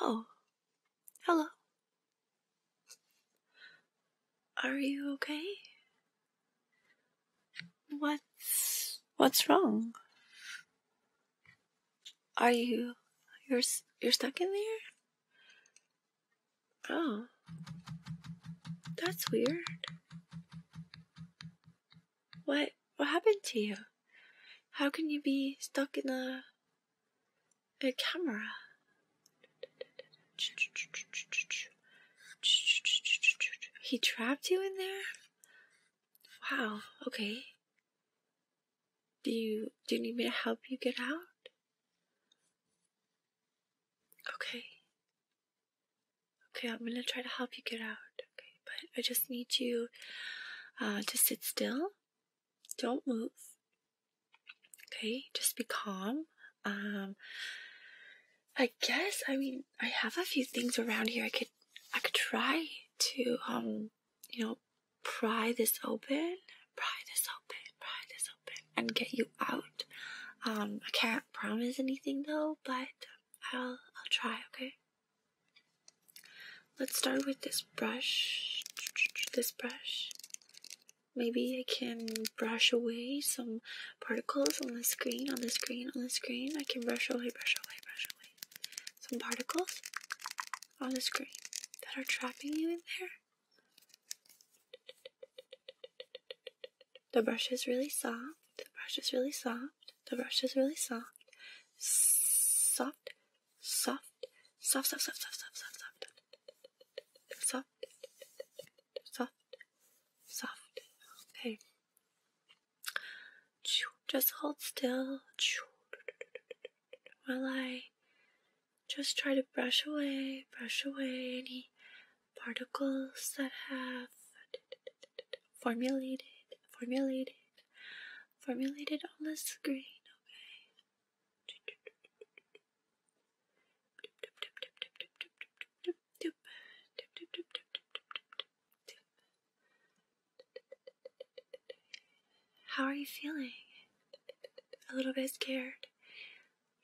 Oh, hello. Are you okay? What's what's wrong? Are you you're you're stuck in there? Oh. That's weird. What what happened to you? How can you be stuck in a a camera? He trapped you in there? Wow, okay. Do you do you need me to help you get out? Okay. Okay, I'm gonna try to help you get out, okay? but I just need you uh, to sit still. Don't move. Okay, just be calm. Um, I guess I mean I have a few things around here. I could I could try to um you know pry this open, pry this open, pry this open, and get you out. Um, I can't promise anything though, but I'll I'll try. Okay. Let's start with this brush. This brush. Maybe I can brush away some particles on the screen, on the screen, on the screen. I can brush away, brush away, brush away some particles on the screen that are trapping you in there. The brush is really soft. The brush is really soft. The brush is really soft. Soft, soft, soft, soft, soft, soft, soft, soft, soft, soft, soft, soft. Okay. Just hold still while I just try to brush away, brush away any particles that have formulated, formulated formulated on the screen, okay? How are you feeling? A little bit scared.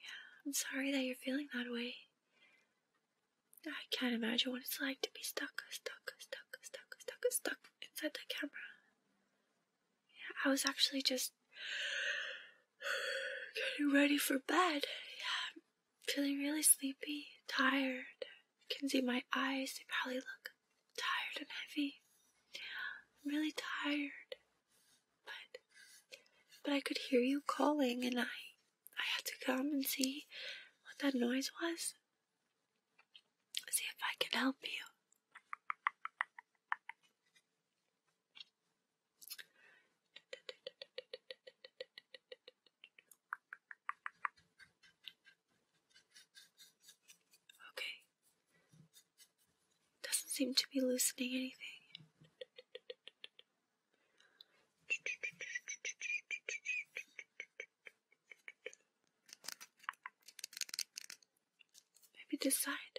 Yeah, I'm sorry that you're feeling that way. I can't imagine what it's like to be stuck, stuck, stuck, stuck, stuck, stuck, stuck inside the camera. Yeah, I was actually just getting ready for bed. Yeah, I'm feeling really sleepy, tired. You can see my eyes, they probably look tired and heavy. Yeah, I'm really tired. But but I could hear you calling and I I had to come and see what that noise was. See if I can help you. Okay. Doesn't seem to be loosening anything. Maybe decide.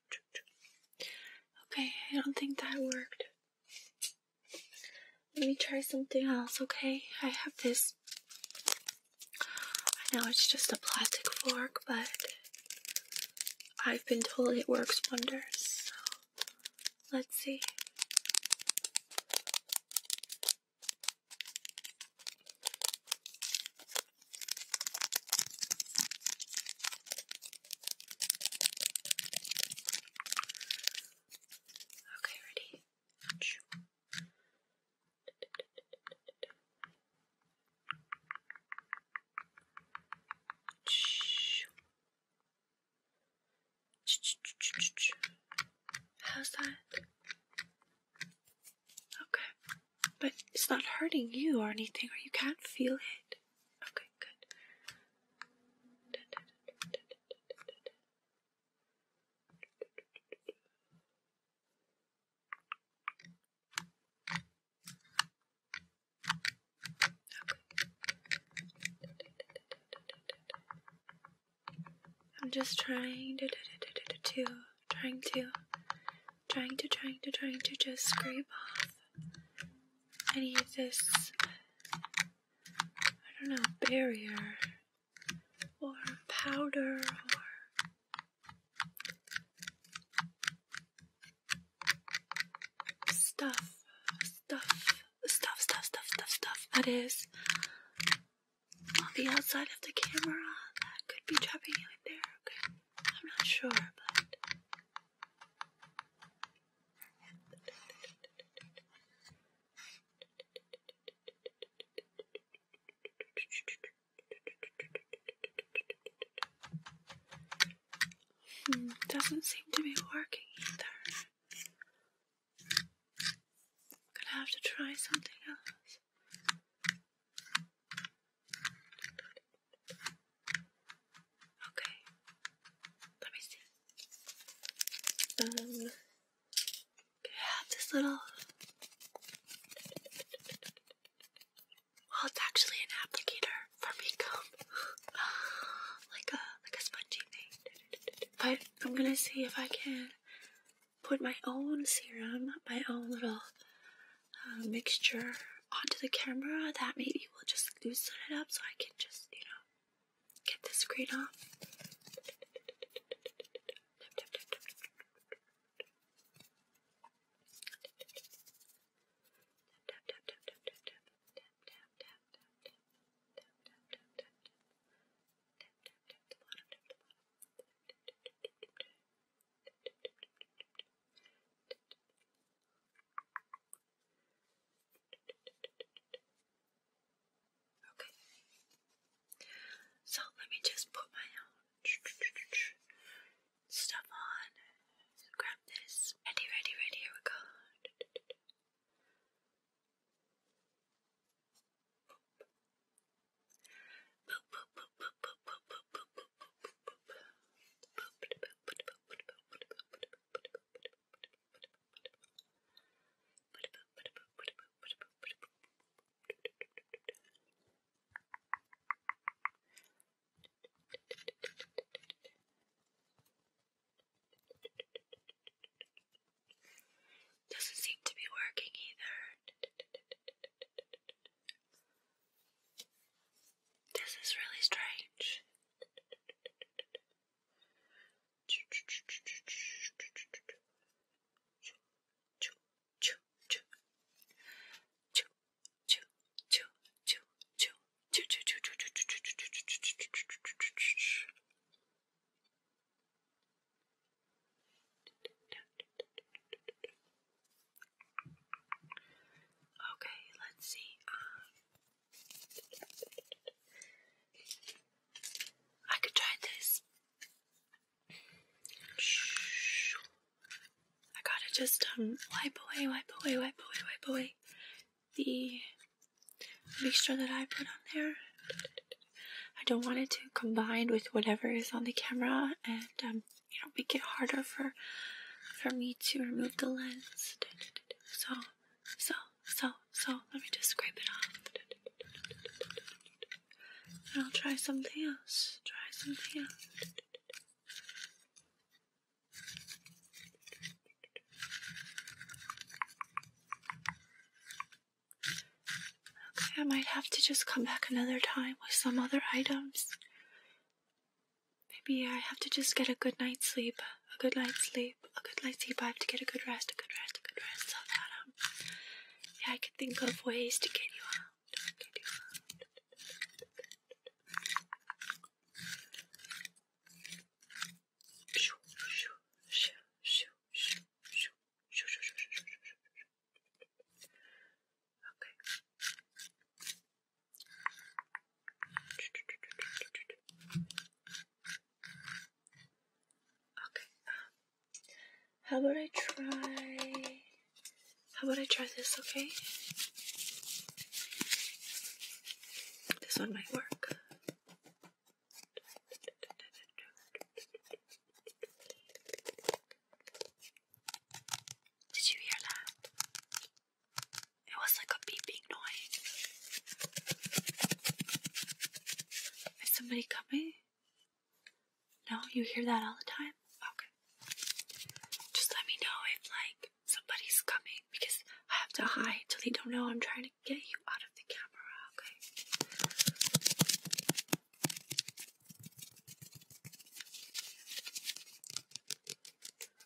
Okay, I don't think that worked. Let me try something else, okay? I have this. I know it's just a plastic fork, but I've been told it works wonders. So let's see. Okay, ready? How's that? Okay. But it's not hurting you or anything, or you can't feel it. Okay, good. I'm just trying to trying to trying to, trying to, trying to just scrape off any of this, I don't know, barrier or powder or. Stuff, stuff, stuff, stuff, stuff, stuff, stuff. That is on the outside of the camera. That could be trapping in there. Okay. I'm not sure, but. Hmm, doesn't seem to be working either. Gonna have to try something else. Okay. Let me see. Um, I have this little. Well, it's actually an applicator for makeup, like a like a spongy thing. But I'm gonna see if I can put my own serum, my own little mixture onto the camera that maybe will just loosen it up so I can just, you know, get the screen off. Okay. So let me just put my own stuff on. Grab this. Ready, ready, ready, here we go. Doesn't seem to be working either. This is really strange. Okay, let's see. Um, I could try this. I gotta just um wipe away, wipe away, wipe away, wipe away the mixture that I put on there. I don't want it to combine with whatever is on the camera and um, you know make it harder for for me to remove the lens. So so so so let me just scrape it off. I'll try something else. Try something else. Okay, I might have to just come back another time with some other items. Maybe I have to just get a good night's sleep, a good night's sleep, a good night's sleep. I have to get a good rest, a good rest, a good rest, yeah, I can think of ways to get you out, Okay. Okay. Um, how about I try? How about I try this? Okay. This one might work. Did you hear that? It was like a beeping noise. Is somebody coming? No, you hear that all the time? Okay. Just let me know if like somebody's coming because I have to hide till they don't know I'm trying to get you out of the camera, okay?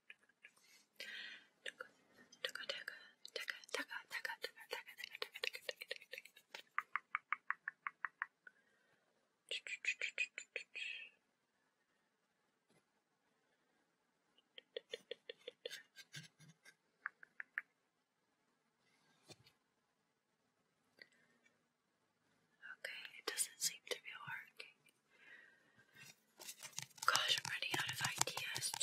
Okay, it doesn't seem to be working. Gosh, I'm running out of ideas. I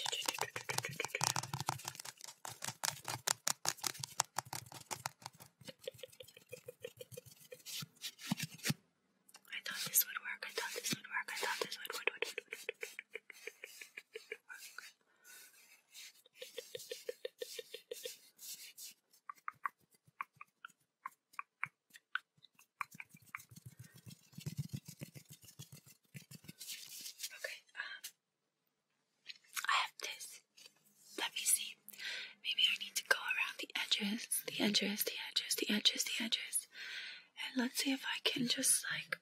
thought this would work. I thought this would work. I thought this would would work. Okay, um, I have this. Let me see. Maybe I need to go around the edges, the edges, the edges, the edges, the edges. And let's see if I can just like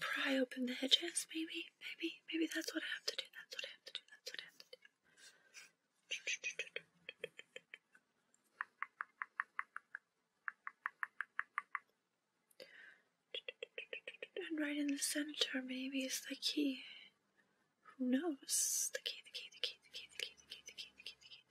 pry open the edges, maybe, maybe, maybe that's what I have to do. That's what I have to do. That's what I have to do. And right in the center, maybe, is the key. Who knows? The key, the key, the key, the key, the key, the key, the key, the key, the key, the key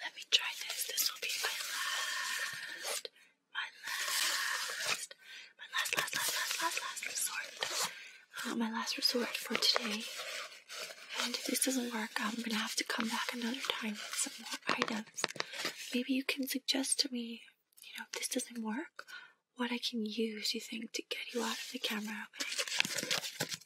let me try this. This will be my last, my last, my last, last, last, last, last, resort. Uh, my last resort for today. And if this doesn't work, I'm gonna have to come back another time with some more items. Maybe you can suggest to me, you know, if this doesn't work, what I can use, you think, to get you out of the camera.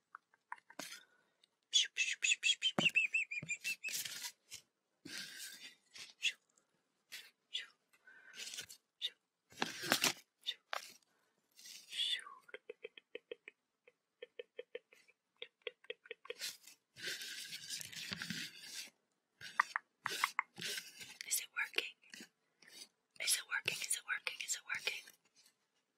Is it working? Is it working? Is it working? Is it working?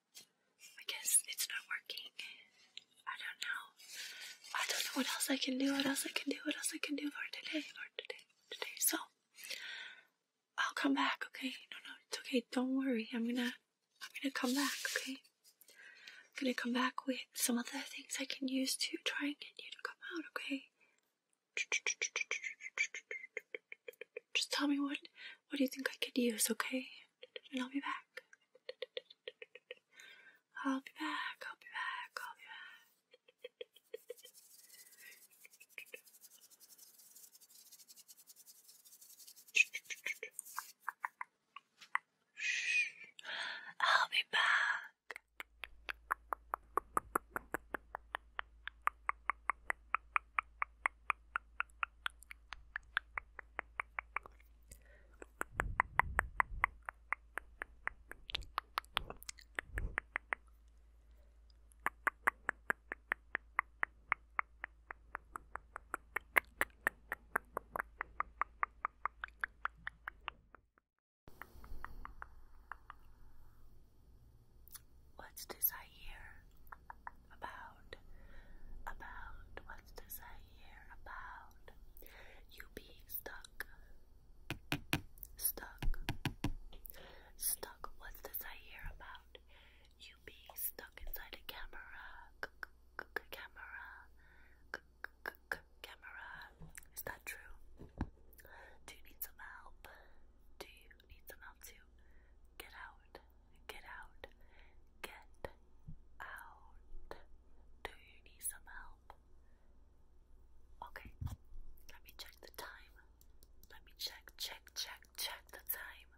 I guess it's not working. I don't know. I don't know what else I can do, what else I can do, what else I can do for today, for today, today. So I'll come back, okay? No, no, it's okay. Don't worry. I'm gonna, I'm gonna come back, okay? I'm gonna come back with some other things I can use to try and get you to come out, okay? Just tell me what what do you think I could use, okay? And I'll be back. I'll be back. I'll be back. I'll be back. I'll be back. What's this I hear? about, about, what's to say here, about you being stuck, stuck, stuck, what's to say here about you being stuck inside a camera, camera, camera, is that true? Do you need some help? Do you need some help to get out, get out, get out. Do you need some help? Okay, let me check the time. Let me check, check, check, check the time.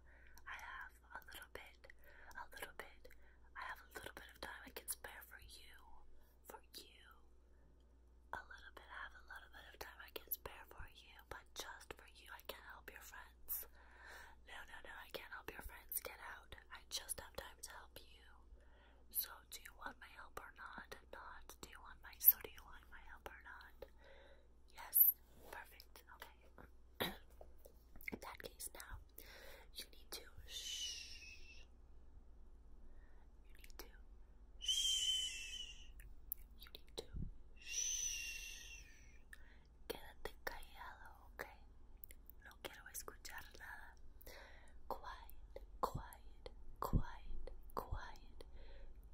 I have a little bit, a little bit. I have a little bit of time I can spare for you, for you. A little bit, I have a little bit of time I can spare for you, but just for you. I can't help your friends. No, no, no, I can't help your friends. Get out. I just have time to help you. So, do you want my help or not? Not. Do you want my so do you want my help or not? Yes. Perfect. Okay. In that case now, you need to shh. You need to shh. You need to shh. Quédate callado, ¿ok? No quiero escuchar nada. Quiet, quiet, quiet, quiet,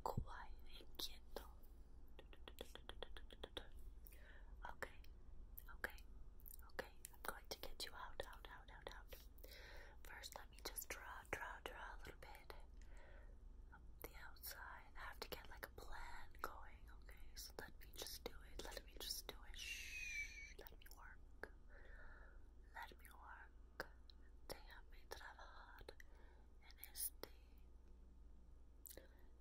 quiet, quieto. Okay, okay, okay. I'm going to get you out, out, out, out, out. First, let me just draw, draw, draw a little bit the outside. I have to get like a plan going, okay? So let me just do it. Let me just do it. Shh. Let me work. Let me work. Déjame trabajar en este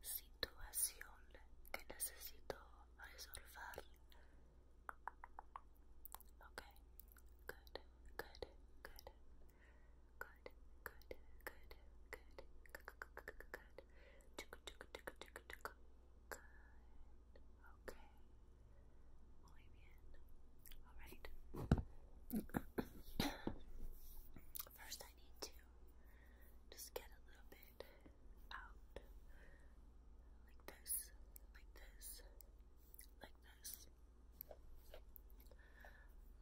situación que necesito resolver. Okay. Good. Good. Good. Good good, good, good, good, good, good, good, okay, muy bien, alright, first I need to just get a little bit out, like this, like this, like this,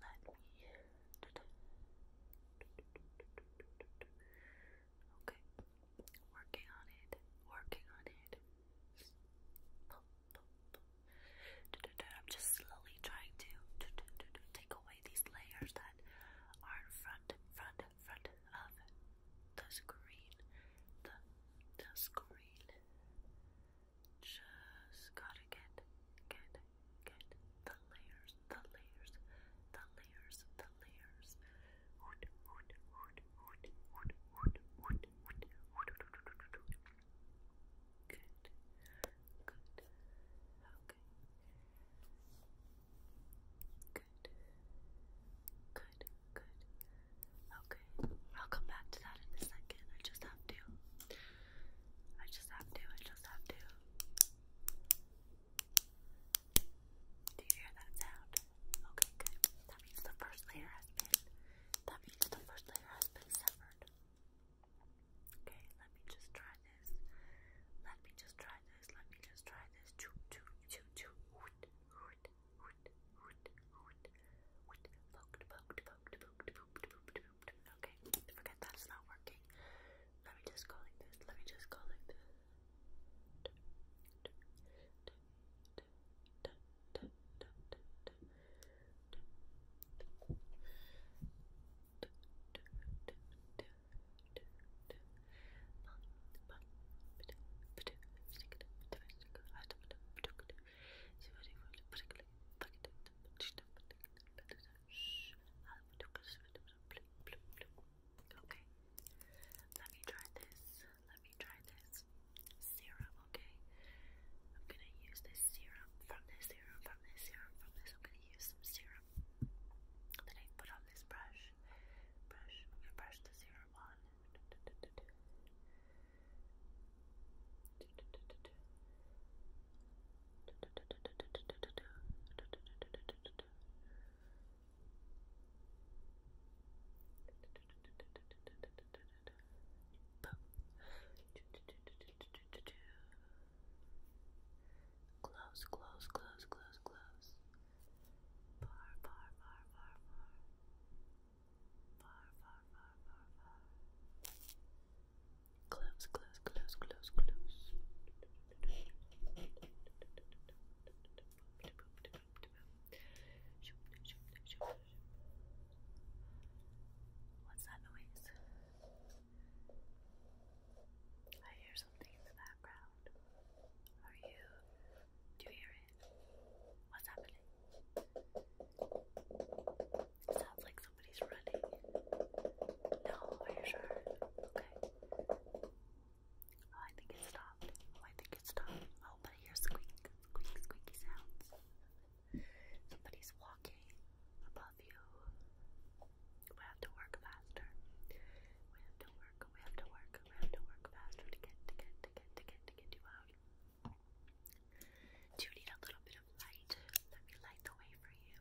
let me Okay, working on it, working on it. I'm just slowly trying to take away these layers that are in front, in front, in front of the screen. The, the screen. Just gotta get, get, get the layers, the layers, the layers, the layers. Good. Good. Okay. Good. Good. Good. Okay. I'll come back to that in a second. I just have to. I just have to. I just have to. Do you hear that sound? Okay, good. That means the first layer has been that means the first layer has been severed. Okay, let me just try this. Let me just try this. Let me just try this. Okay, forget that's not working. Let me just go like this. Let me just go like this. Okay. Let me try this. Let me try this serum, okay? I'm gonna use this serum from this serum, from this serum, from this. I'm gonna use some serum that I put on this brush. Brush. I'm gonna brush the serum on. Close, close, close, close, close. Far, far, far, far, far. Far, far, far, far, Close, close, close, close, close. What's that noise? I hear something in the background. Are you? Do you hear it? What's happening? sounds like somebody's running. No, are you sure? Okay. Oh, I think it stopped. I think it stopped. Oh, but I hear squeak, squeak, squeaky sounds. Somebody's walking above you. We have to work faster. We have to work, we have to work, we have to work faster to get, to get, to get, to get, to get you out. Do you need a little bit of light? Let me light the way for you.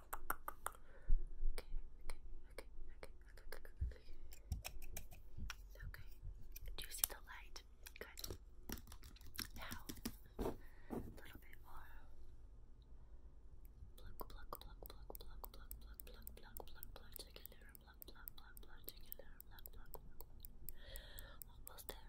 okay. Do you see the light? Good. Now, a little bit more. Pluck, pluck, pluck, pluck, pluck, pluck, pluck, pluck, pluck, pluck, pluck, together, pluck, pluck, pluck, together, pluck, pluck, pluck, Almost there.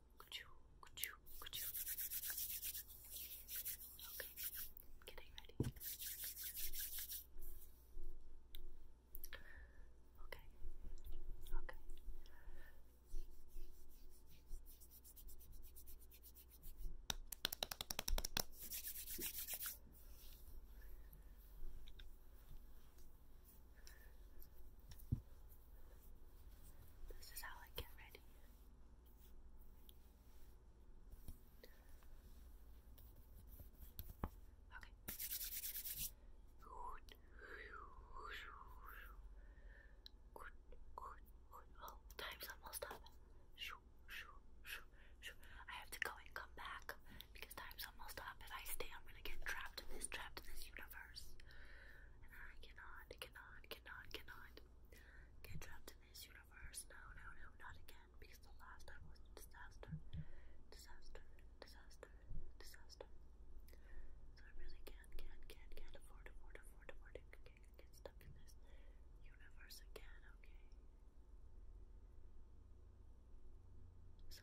Okay, getting ready. Okay, okay. This is how I get ready. Okay. Good. Good. Good. Oh, time's almost up. I have to go and come back because time's almost up. If I stay, I'm gonna get trapped in this, trapped in this universe and I cannot, cannot, cannot, cannot get trapped in this universe. No, no, no, not again, because the last time was a disaster. Disaster, disaster, disaster. So I really can't, can't, can't, can't afford, afford, afford, afford to get, get stuck in this universe again, okay? So,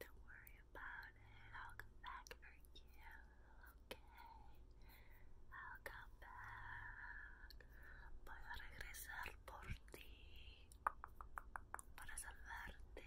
do worry about it. I'll come back for you. Okay. I'll come back. Voy a regresar por ti. Para salvarte.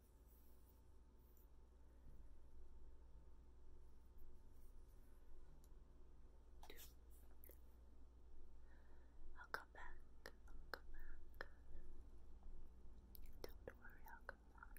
I'll come back. I'll come back. Don't worry, I'll come back.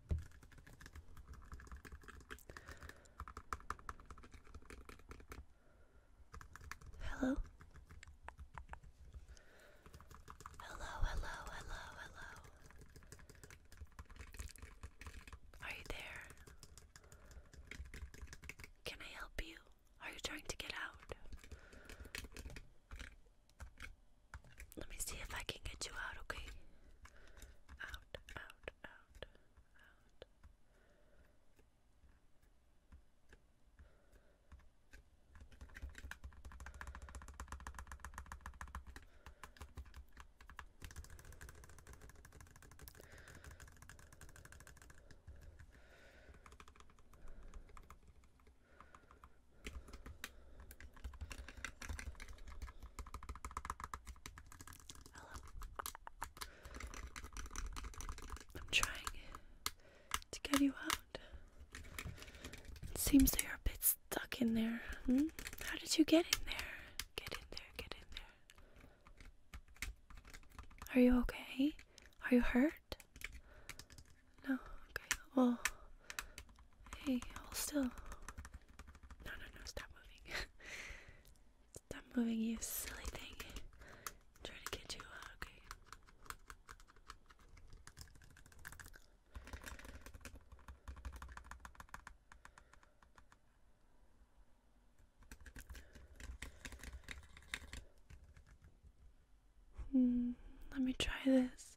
Hello. Hello, hello, hello, Are you there? Can I help you? Are you trying to get out? Let me see if I can get you out, okay? I'm trying to get you out. It seems that you're a bit stuck in there. Hmm? How did you get in there? Get in there, get in there. Are you okay? Are you hurt? No? Okay. Well, Hey, I'll still. No, no, no, stop moving. stop moving, you silly thing. trying to get you uh, okay? Hmm, let me try this.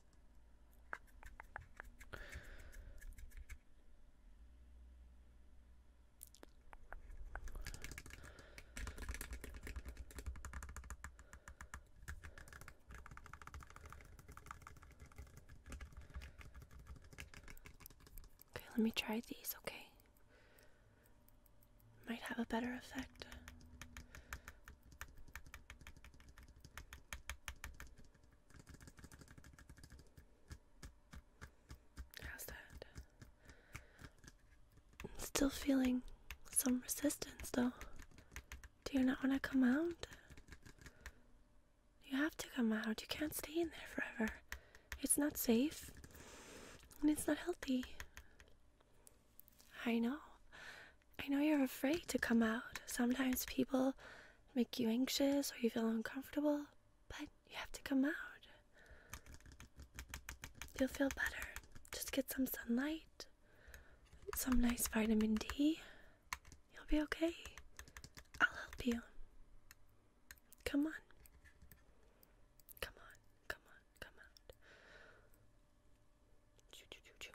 Okay, let me try these, okay? Might have a better effect. How's that? still feeling some resistance though. Do you not want to come out? You have to come out. You can't stay in there forever. It's not safe and it's not healthy. I know. I know you're afraid to come out. Sometimes people make you anxious or you feel uncomfortable, but you have to come out. You'll feel better. Just get some sunlight, some nice vitamin D. You'll be okay. I'll help you. Come on. Come on, come on, come out. Choo, choo, choo, choo.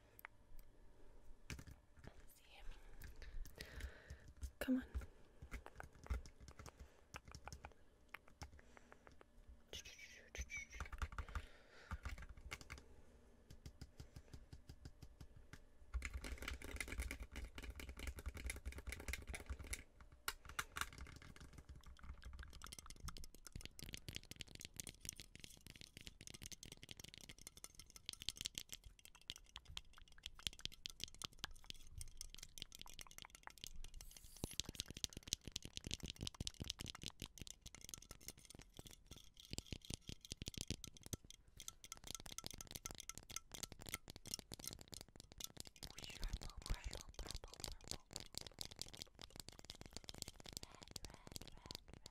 see. Come on. Purple, purple, purple, purple. Red, red, red, red.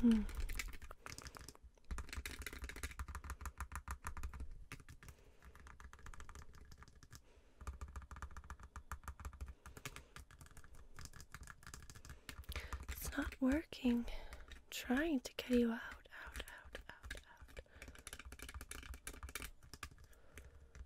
Hmm. It's not working. I'm trying to get you out, out, out, out, out.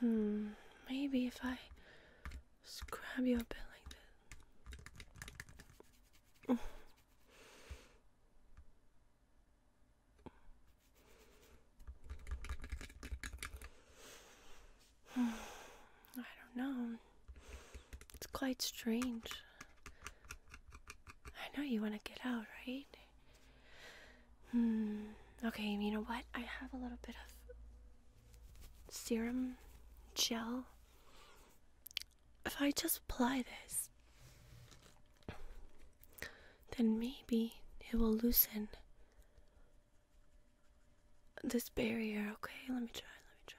Hmm, maybe if I scrub you a bit like this. I don't know. It's quite strange. I know you want to get out, right? Hmm. Okay, you know what? I have a little bit of serum gel. If I just apply this, then maybe it will loosen this barrier. Okay, let me try. Let me try.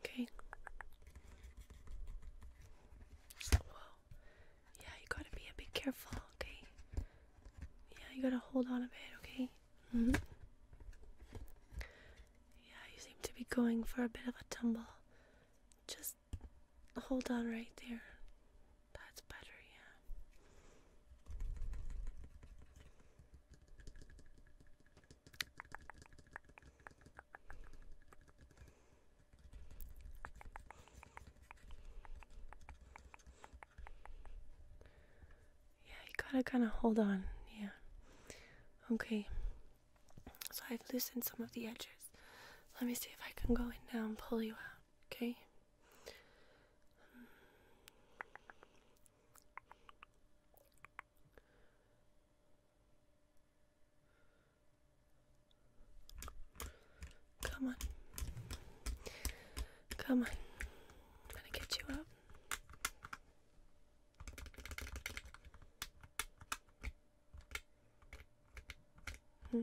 Okay. Well, yeah, you gotta be a bit careful, okay? Yeah, you gotta hold on a bit, okay? Mm-hmm. Yeah, you seem to be going for a bit of a tumble. Just hold on right there. That's better, yeah. Yeah, you gotta kind of hold on, yeah. Okay. So I've loosened some of the edges. Let me see if I can go in now and pull you out, okay? come on. Come on. I'm gonna get you up. Hmm.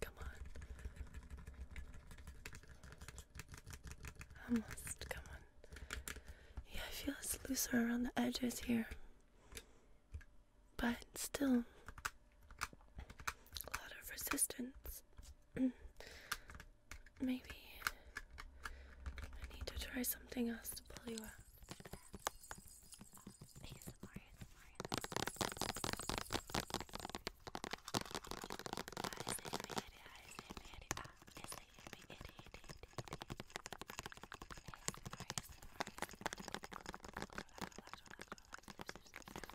Come on. Almost, come on. Yeah, I feel it's looser around the edges here. But still, a lot of resistance. Maybe I need to try something else to pull you out.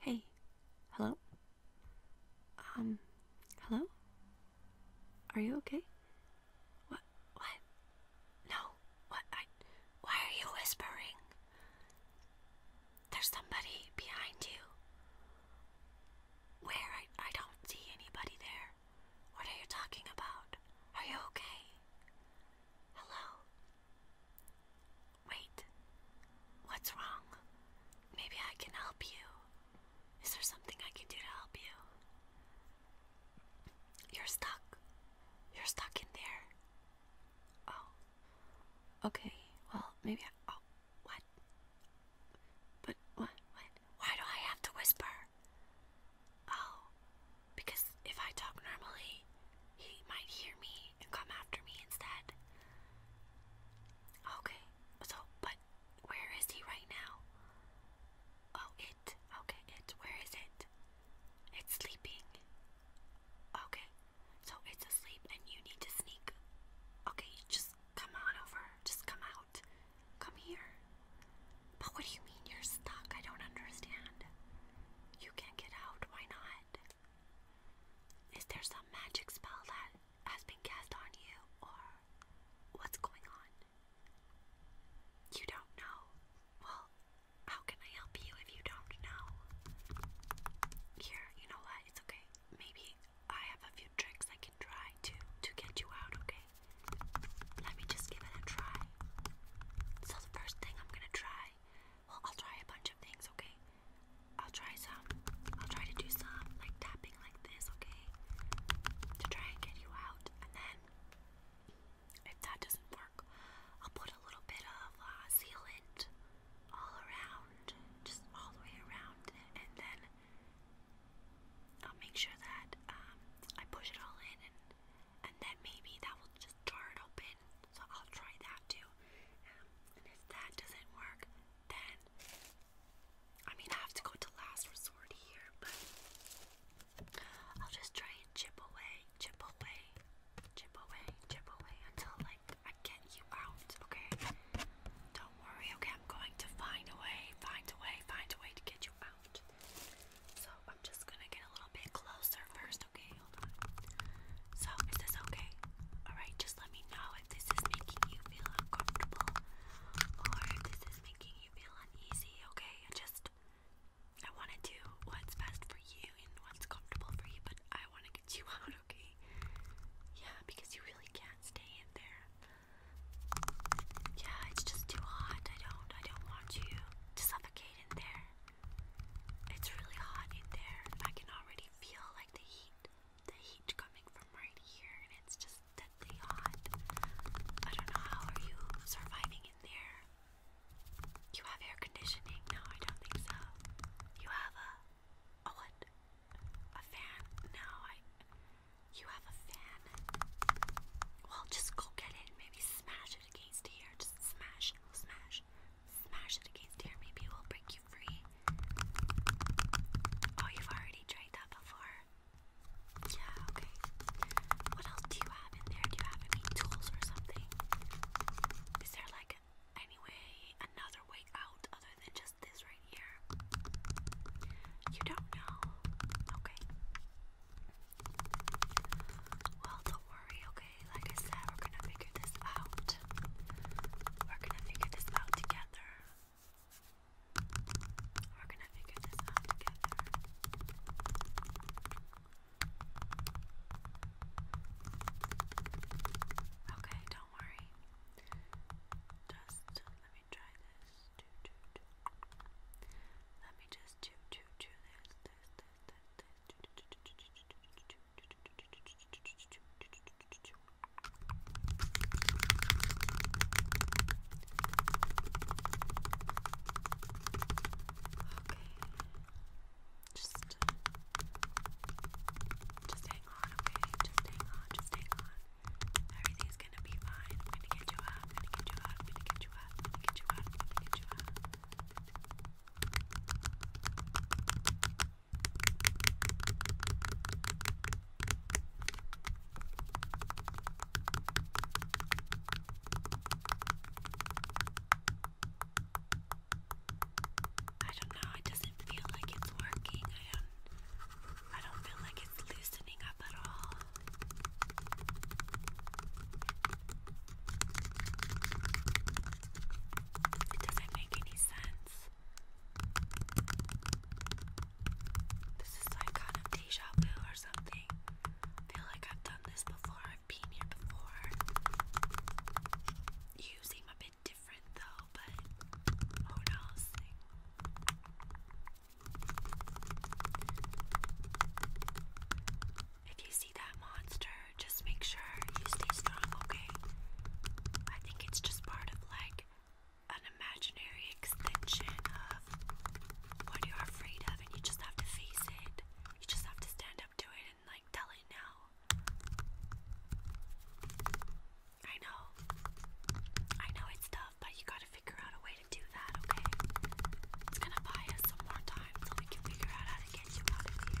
Hey, hello? Um, hello? Are you okay? What? What? No. What? Why are you whispering? There's somebody behind you. Where? I, I don't see anybody there. What are you talking about? Are you okay? Hello? Wait. What's wrong? Maybe I can help you. Is there something I can do to help you? You're stuck. You're stuck in there. Oh. Okay. Well, maybe I. Oh. What? But what? What? Why do I have to whisper? Oh. Because if I talk normally, he might hear me and come after me instead. Okay. So, but where is he right now? Oh, Okay, it. Where is it? It's sleeping. Okay, so it's asleep and you need to sneak. Okay, just come on over. Just come out. Come here. But what do you mean you're stuck? I don't understand. You can get out. Why not? Is there some magic spell that has been cast on you, or what's going on? You don't know? Well, how can I help you if you don't know? Here, you know what? It's okay. Maybe I have a few tricks I can try to to get you out, okay? Let me just give it a try. So the first thing I'm gonna try, well I'll try a bunch of things, okay? I'll try some. I'll try to do some like tapping like this, okay? To try and get you out. And then if that doesn't work, I'll put a little bit of uh, sealant all around, just all the way around, and then I'll make sure that um, I push it all in, and, then maybe that will just jar it open. So I'll try that too. and if that doesn't work, then I mean I have to go to last resort here, but I'll just try and chip away, chip away, chip away, chip away until like I get you out, okay? Don't worry, okay? I'm going to find a way, find a way, find a way to get you out. So I'm just gonna get a little bit closer first, okay? Hold on. So is this okay? Alright, just let me know if this is making you feel uncomfortable or if this is making you feel uneasy, okay? Just I want to do what's best for you and what's comfortable for you, but I want to get you out, okay? Yeah, because you really can't stay in there. Yeah, it's just too hot. I don't, I don't want you to suffocate in there. It's really hot in there. I can already feel like the heat, the heat coming from right here, and it's just deadly hot. I don't know how are you surviving in there. You have air conditioning? No, I don't think so. You have a a what? A fan? No, I. You have a fan? Well, just go get it and maybe smash it against here. Just smash, smash, smash it against here. Maybe it will break you free. Oh, you've already tried that before. Yeah, okay. What else do you have Do you have any tools or something? Is there like any another way out other than just this right here? You don't know. Okay. Well, don't worry, okay? Like I said, we're gonna figure this out. We're gonna figure this out together. We're gonna figure this out together. Okay, don't worry. Just let me try this. Let me just do do do this this this this this. Okay. Just, just hang on, okay? Just hang on, just hang on. Everything's gonna be fine. gonna get you up, gonna get you up, gonna get you up, gonna get you up, gonna get you up. I don't know, it doesn't feel like it's working. I don't I don't feel like it's loosening up at all. It doesn't make any sense. This is like kind of deja vu or something. feel like I've done this before. You seem a bit different though, but who knows? If you see that monster, just make sure you stay strong, okay? I think it's just part of like an imaginary extension of what you're afraid of, and you just have to face it. You just have to stand up to it and like tell it now. I know. I know it's tough, but you gotta figure out a way to do that, okay? It's gonna buy us some more time so we can figure out how to get you out of here.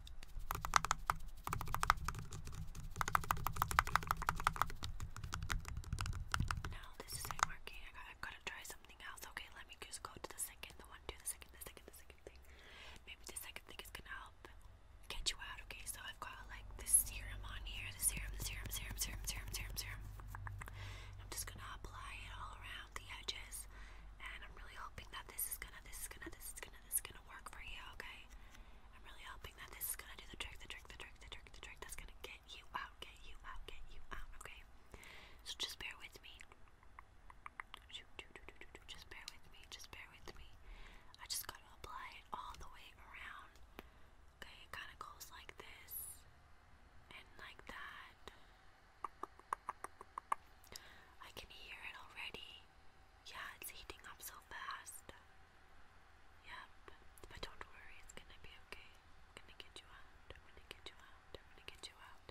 No, this isn't working. I gotta, I gotta try something else. Okay, let me just go to the second, the one, do the second, the second, the second thing. Maybe the second thing is gonna help get you out. Okay, so I've got like this serum on here, the serum, the serum, serum, serum, serum, serum, serum. I'm just gonna apply it all around the edges, and I'm really hoping that this is gonna, this is gonna, this is gonna, this is gonna work for you, okay? I'm really hoping that this is gonna do the trick, the trick, the trick, the trick, the trick that's gonna get you out, get you out, get you out, okay? So just bear with me. Just bear with me, just bear with me. I just gotta apply it all the way around. Okay, it kinda goes like this and like that. I can hear it already. Yeah, it's heating up so fast. Yep, but don't worry, it's gonna be okay. gonna get you out. gonna get you out. gonna get you out.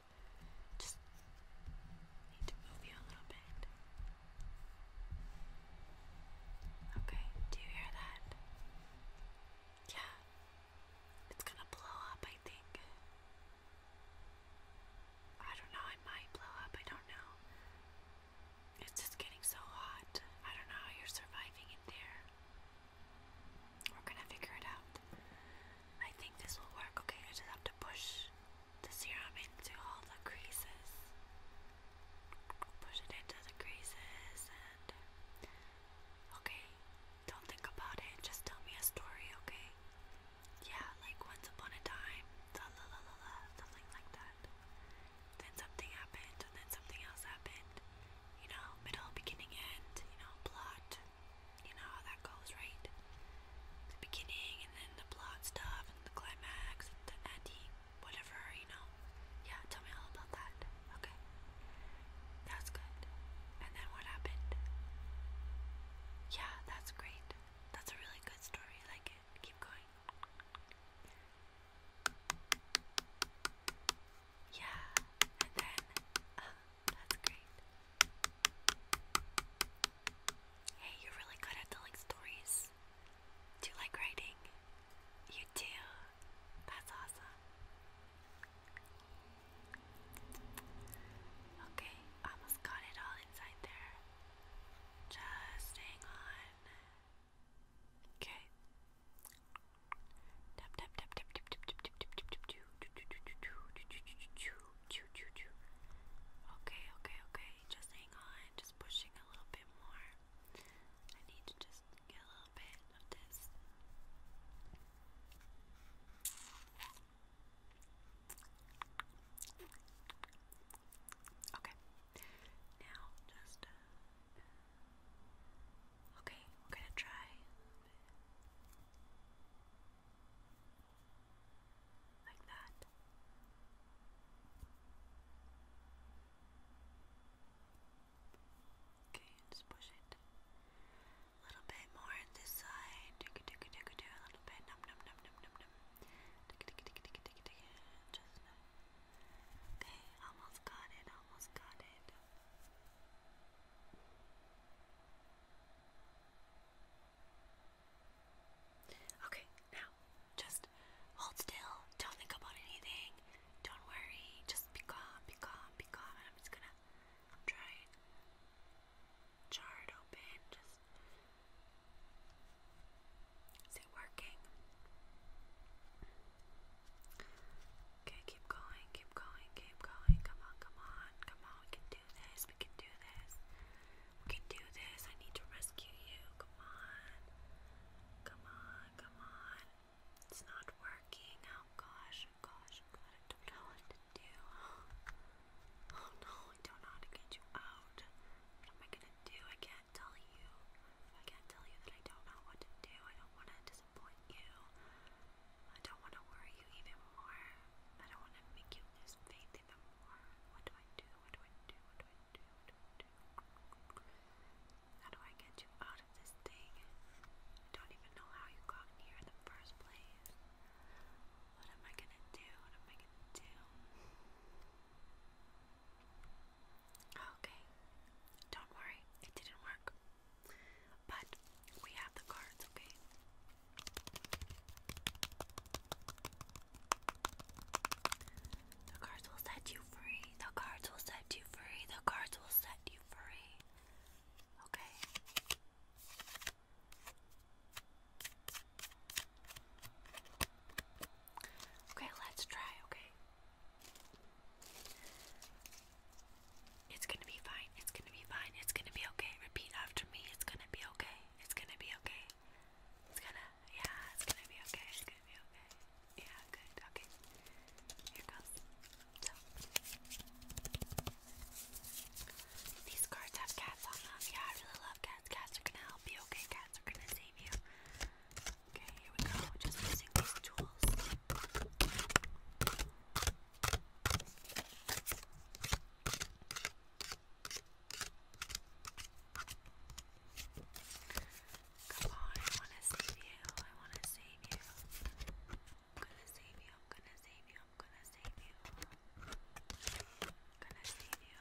Just need to move you a little bit. Okay, do you hear that? Yeah, it's gonna blow up, I think. I don't know, I might blow up, I don't know. It's just getting so hot. I don't know how you're surviving in there. We're gonna figure it out. I think this will work. Okay, I just have to push the serum into all the creases. Push it into the creases and. Okay, don't think about it. Just tell me a story, okay? yeah, like once upon a time, la la la la something like that. Then something happened, and then something else happened. You know, middle, beginning, end, you know, plot. You know how that goes, right? The beginning, and then the plot stuff, and the climax, the ending, whatever, you know. Yeah, tell me all about that. Okay. That's good. And then what happened? Yeah, that's great. That's a really good story. Like, again. Keep going. Yeah, and then, oh, that's great. Hey, you're really good at telling stories. Do you like writing? You do. That's awesome. Okay, almost got it all inside there. Just hang on. Okay. Tap tap tap tap tap tap tap tap tap tap Okay, okay, okay. Just hang on. Just pushing a little bit more. I need to just get a little bit of this. Okay. Now just uh, okay. We're gonna try. Like that. Okay, just push it a little bit more in this side. Do a little bit. Num just no. Okay, almost got it, almost got it. Okay, now just hold still. Don't think about anything. Don't worry. Just be calm, be calm, be calm. I'm just gonna try and jar open. Just is it working? Okay, keep going, keep going, keep going. Come on, come on, come on. We can do this, we can do this. We can do this. I need to rescue you. Come on. Come on, come on. It's not working. Oh gosh, oh, oh, gosh, I don't know what to do. Oh no, I don't know how to get you out. What am I gonna do? I can't tell you. I can't tell you that I don't know what to do. I don't wanna disappoint you. I don't wanna worry you even more. I don't wanna make you lose faith even more. What do I do? What do I do? What do I do? What do I do? How do I get you out of this thing? I don't even know how you got in here in the first place. What am I gonna do? What am I gonna do? Okay, don't worry, it didn't work. But we have the cards, okay? The cards will set you free. The cards will set you free. The cards will set you free. Okay. Okay, let's try, okay? It's gonna be fine, it's gonna be fine, it's gonna be okay. Repeat after me, it's gonna be okay, it's gonna be okay. It's gonna, yeah, it's gonna be okay, it's gonna be okay. Yeah, good, okay. Here goes. These cards have cats on them. Yeah, I really love cats cats. Cats are gonna help you, okay? Cats are gonna save you. Okay, here we go. Just using these tools. Come on, I wanna save you. I wanna save you. I'm gonna save you. I'm gonna save you. I'm gonna save you. gonna save you.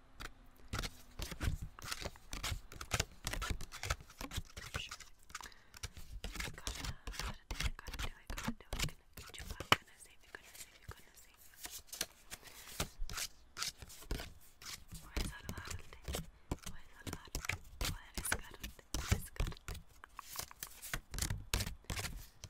Sure. Gotta, gotta do it, gotta do it, gotta do it. Gonna, you, I'm gonna save you, gonna save you, gonna save you. Why is that allowed? Why is that allowed? Why is that allowed? Why is that allowed? Why is that allowed?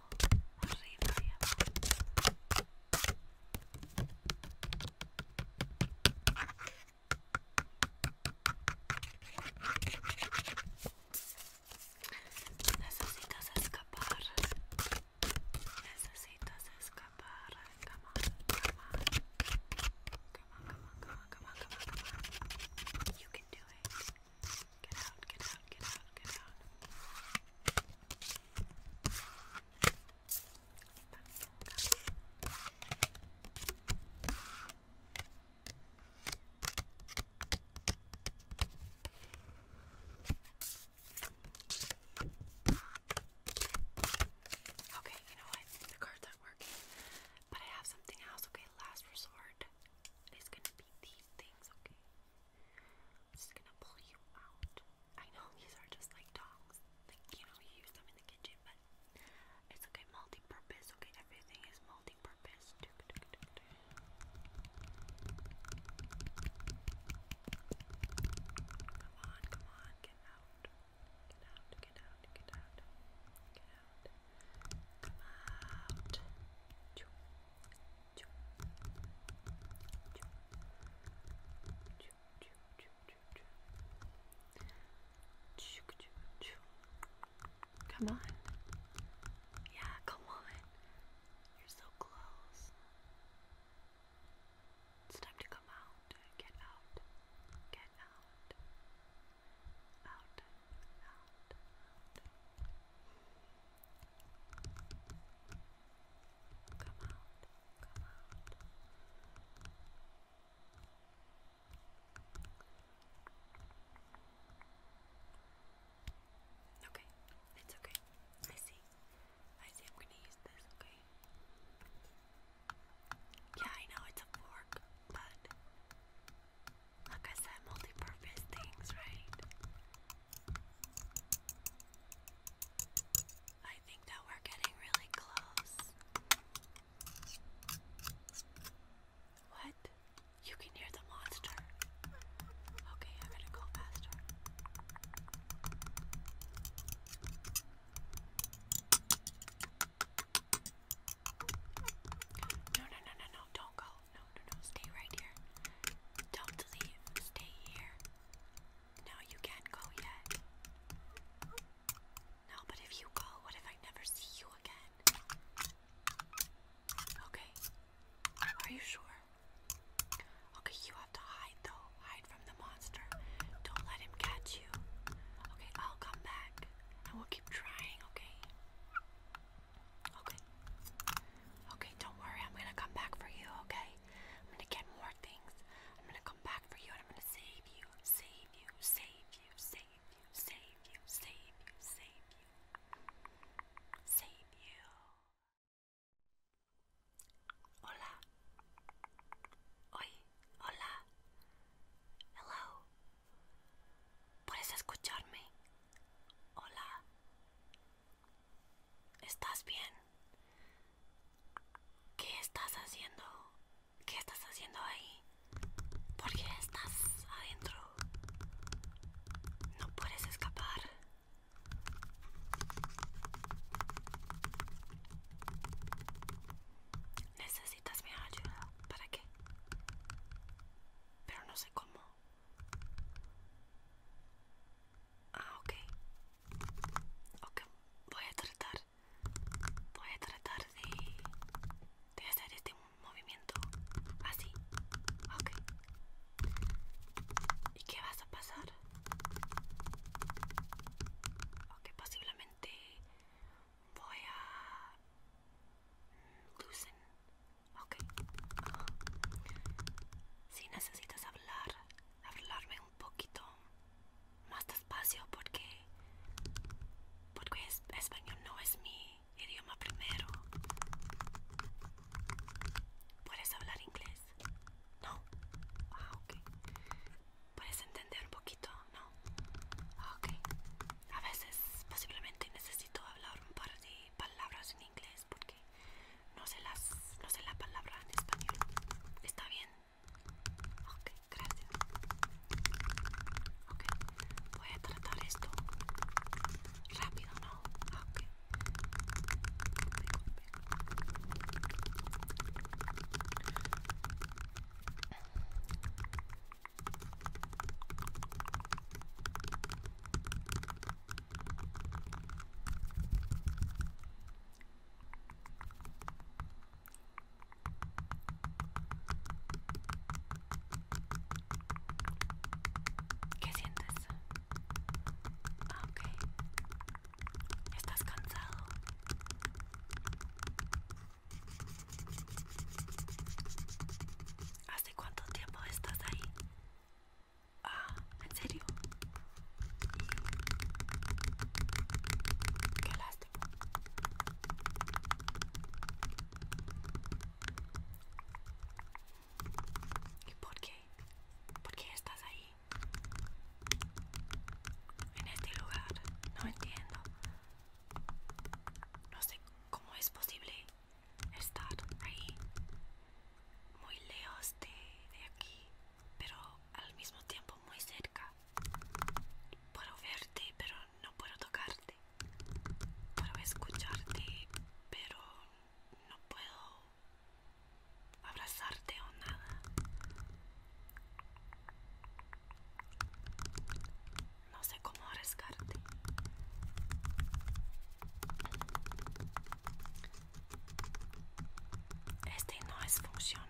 Necesitas escapar. Necesitas escapar. Come on, come on. Come on, come You can do it. Get out, get out, get out, get out. Okay, you know what? The card's not working, but I have something else. Okay, last resort. It's gonna be these things. Okay i just gonna pull you out. I know these are just like tongs. Like, you know, you use them in the kitchen, but it's okay, multi Okay, everything is multi Come on, come on, get out. Get out, get out, get out. Get out. Come out. Come on. Yeah, come on. You're so close. It's time to come out. Get out. Get out. Out. Out. Come out, come out. Okay, it's okay. I see. I see. I'm gonna use this. Okay. Yeah, I know it's a fork, but like I said, multi-purpose things, right? I think that we're getting really close. What? You can hear the monster. Okay, I'm gonna go faster. No, no, no, no, no, don't go. No, no, no, stay right here. Don't leave. Stay here. No, you can't go yet. No, but if you go, what if I never see you again? Okay. Are you sure? Okay, you have to hide though. Hide from the monster. Don't let him catch you. Okay, I'll come back. And we'll keep trying, okay? Okay. Okay, don't worry. I'm gonna come back for you, okay? I'm gonna get more things. I'm gonna come back for you and I'm gonna save you, save you, save you, save you, save you, save you, save you, save you. Hola. Oi, hola. Hello. ¿Puedes escucharme? Hola. ¿Estás bien? ¿Qué estás haciendo? ¿Qué estás haciendo ahí? ¿Por qué estás adentro? No puedes escapar. Necesitas mi ayuda. ¿Para qué? Pero no sé cómo. Ah, ok. Ok, voy a tratar. Voy a tratar de, de hacer este movimiento así. Ok. ¿Y qué vas a pasar? Ok, posiblemente voy a... Mm, lucen. Ok. Si necesitas hablar, hablarme un poquito más despacio porque porque español no es mi idioma primero. ¿Puedes hablar inglés? No. Ah, ¿Puedes entender un poquito? No. Ah, A veces posiblemente necesito hablar un par de palabras en inglés porque no sé las no sé la palabra en español está bien ok gracias ok voy a tratar esto rápido no ok ¿Qué sientes? Ah, ¿Estás cansado? ¿Hace cuánto tiempo estás ahí? Ah, ¿en serio? Qué lástima. ¿Y por qué? ¿Por qué estás ahí? En este lugar. No entiendo. No sé cómo es posible estar ahí. Muy lejos de aquí pero al mismo tiempo muy cerca. Puedo verte, pero no puedo tocarte. Puedo escucharte, pero no puedo abrazarte o nada. No sé cómo arriesgarte. Este no es funciona.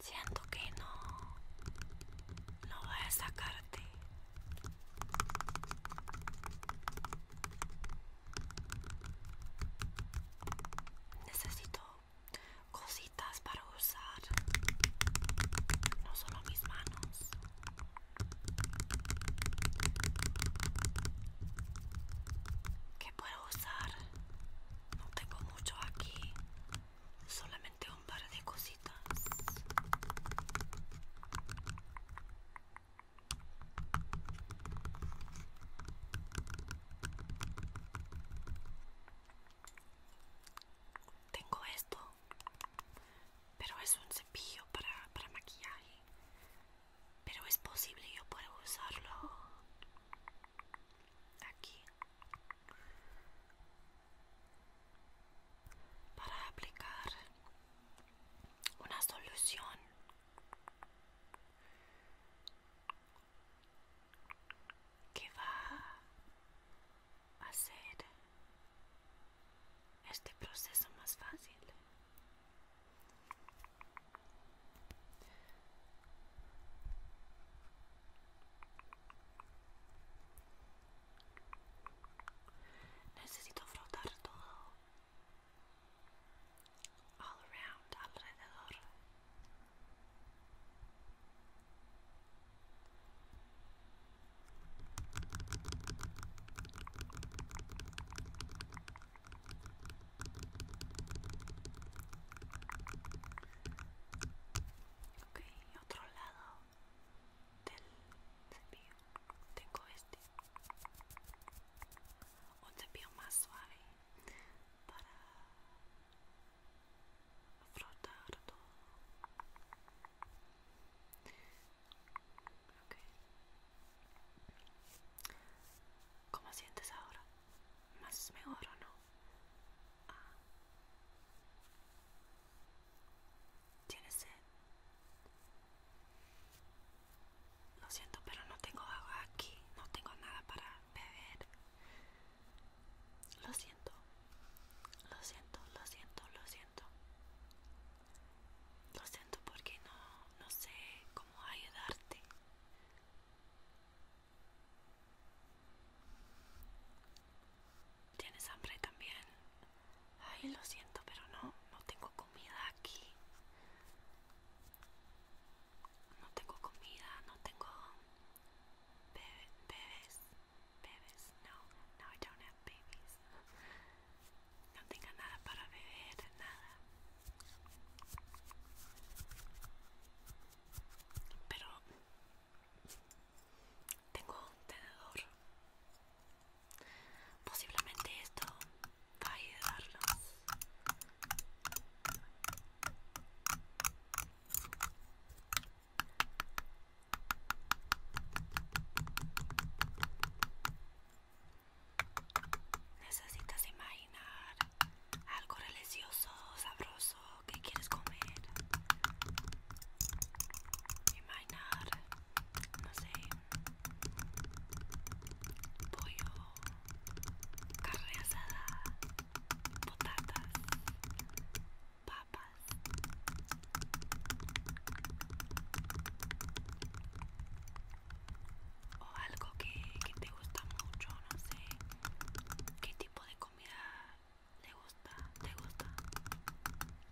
Siento que no, no voy a sacar Necesito cositas para usar, no solo mis manos. ¿Qué puedo usar? No tengo mucho aquí, solamente un par de cositas. Tengo esto, pero es un cepillo para, para maquillaje. Pero es posible, yo puedo usarlo aquí para aplicar una solución que va a hacer este proceso más fácil. Necesito frotar todo. All around, alrededor. Ok, otro lado del cepillo tengo este un cepillo más suave para frotar todo ¿Cómo sientes ahora? ¿Más mejor o no? Ah. ¿Tienes sed? Lo siento, pero no tengo agua aquí. No tengo nada para beber. Lo siento. Lo siento, lo siento, lo siento. Lo siento porque no, no sé cómo ayudarte. ¿Tienes hambre también? Ay, lo siento, pero no, no tengo comida aquí. No tengo comida, no tengo bebés, bebés, No, no, I don't No tengo nada para beber, nada. Pero tengo un tenedor Posiblemente esto va a ayudarlos. Necesitas imaginar algo religioso, sabroso que quieres comer. Imaginar, no sé, pollo, carne asada, potatas papas. O algo que, que te gusta mucho, no sé qué tipo de comida le gusta, te gusta.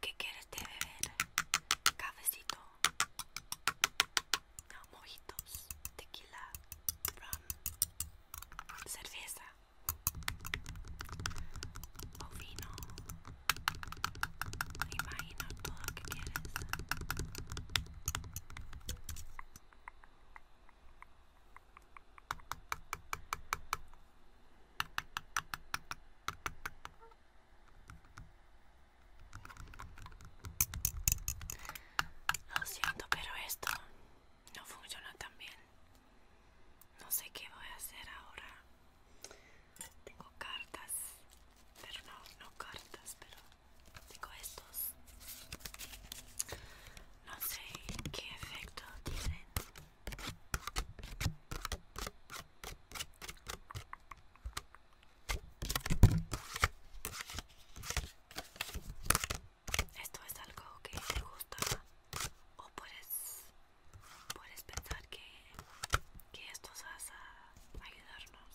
¿Qué quieres de beber? Cafecito, mojitos, tequila, rum, cerveza o vino. Imagino todo lo que quieres. Lo siento, pero esto no funciona tan bien. No sé qué voy a hacer ahora. Tengo cartas, pero no, no cartas, pero tengo estos. No sé qué efecto tienen. Esto es algo que te gusta o puedes, pensar que, que esto vas a ayudarnos.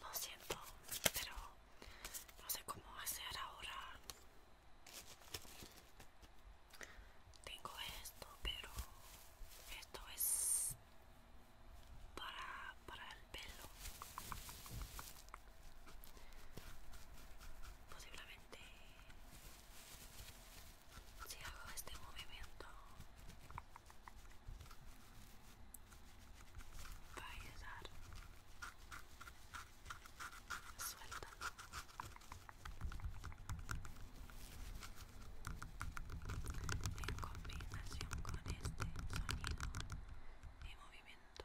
lo siento, pero no sé cómo hacer ahora. Tengo esto, pero esto es para, para el pelo. Posiblemente si hago este movimiento va a ayudar suelta en combinación con este sonido y movimiento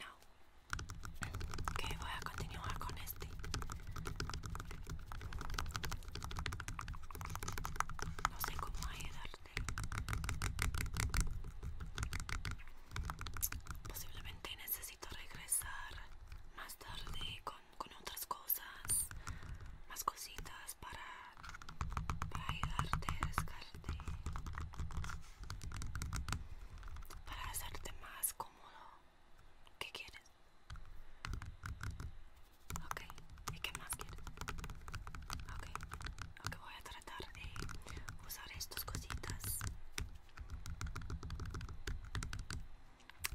No, que voy a continuar con este. No sé cómo ayudar. Posiblemente necesito regresar más tarde con, otras cosas, más cositas para, para ayudarte, rascarte, para hacerte más cómodo. ¿Qué quieres? Ok, ¿y qué más quiero? Ok, voy a tratar de usar estas cositas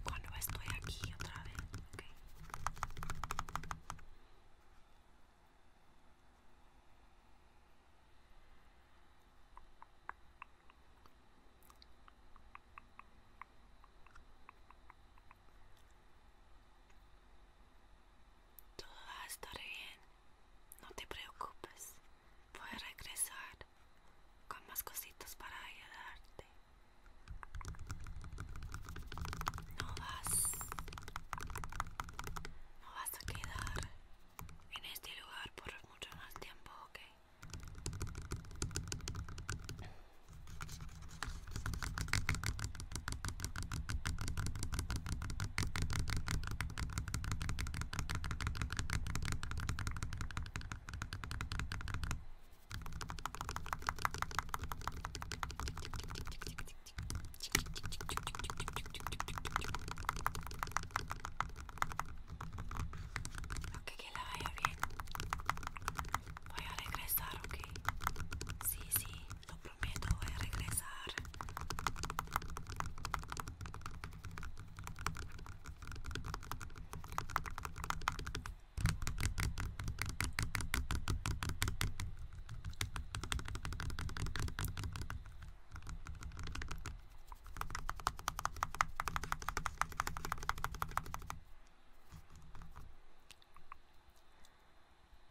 cuando estoy aquí otra vez. Todo va a estar bien, no te preocupes. Puedes regresar con más cositas para ayudarte. No vas, no vas a quedar en este lugar por mucho más tiempo, ¿ok? Ok, que la vaya bien. Voy a regresar, ok. Sí, sí. lo prometo, voy a regresar.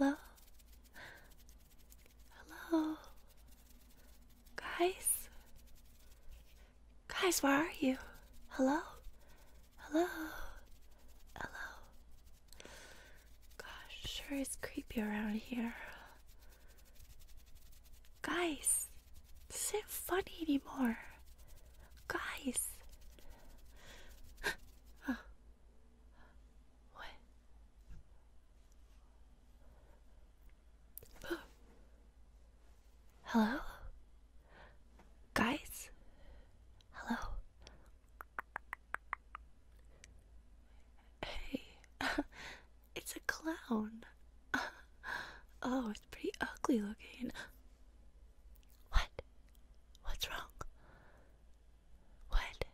Hello? Hello? Guys? Guys, where are you? Hello? Hello? Hello? Gosh, sure is creepy around here. Guys, this isn't funny anymore. Guys. Oh. What? Hello? Guys? Hello? Hey, it's a clown. Oh, it's pretty ugly looking. What? What's wrong? What?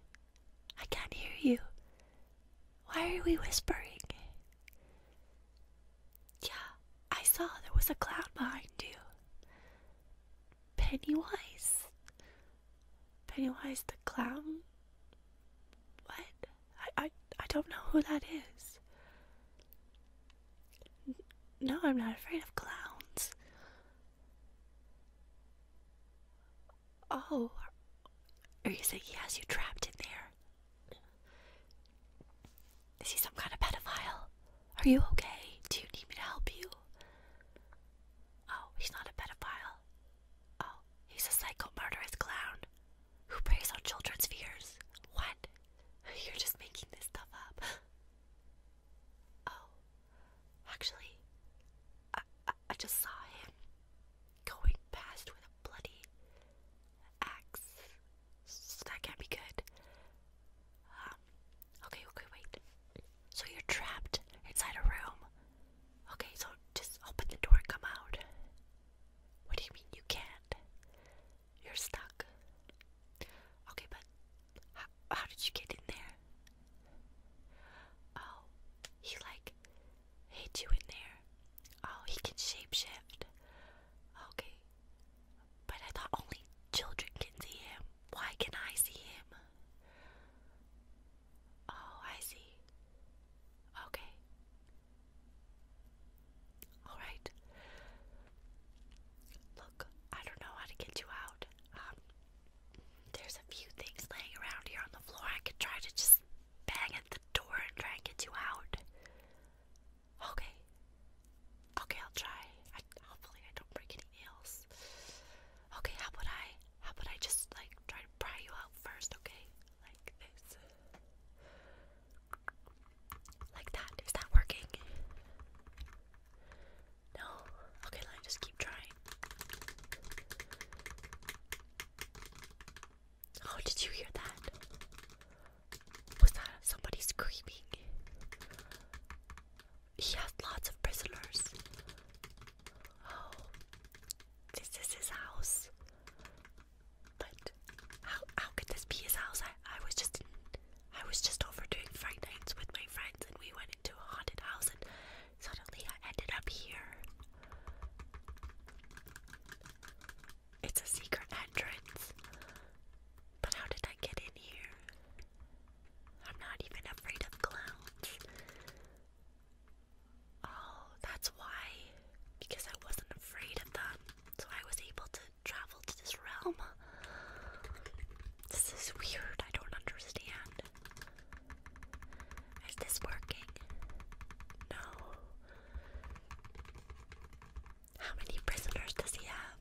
I can't hear you. Why are we whispering? Yeah, I saw there was a clown behind you. Pennywise. Pennywise the clown? What? I, I, I don't know who that is. no, I'm not afraid of clowns. Oh, are you saying he has you trapped in there? Is he some kind of pedophile? Are you okay? Do you need me to help you? Oh, he's not a pedophile. Oh, he's a psycho murderous clown who preys on children's fears. What? You're just making this stuff up. Oh, actually, I, I, just saw him going past with a bloody axe. that can't be good. Um, Okay, okay, wait. So you're trapped inside a room. Okay, so just open the door and come out. What do you mean you can't? You're stuck. Okay, but how, did you get in there? Oh, he like hid you in there. Oh, he can shapeshift. Okay. But I thought only children can see him. Why can I see him? Oh, I see. Okay. All right. Look, I don't know how to get you out. Um, there's a few things laying around here on the floor. I could try to just bang at the door and try and get you out. Okay. Okay, I'll try. hopefully, I don't break any nails. Okay, how about I how about I just like try to pry you out first, okay? Like this. Like that. Is that working? No? Okay, let me just keep trying. Oh, did you hear that? Was that somebody screaming? He has lots of prisoners. Oh, this is his house. But how how could this be his house? I I was just I was just over doing Friday nights with my friends, and we went into a haunted house, and suddenly I ended up here. It's a secret entrance. But how did I get in here? I'm not even afraid of clowns. Oh, that's why. Because I wasn't afraid of them. So I was able to travel to this realm. This is weird. I don't understand. Is this working? No. How many prisoners does he have?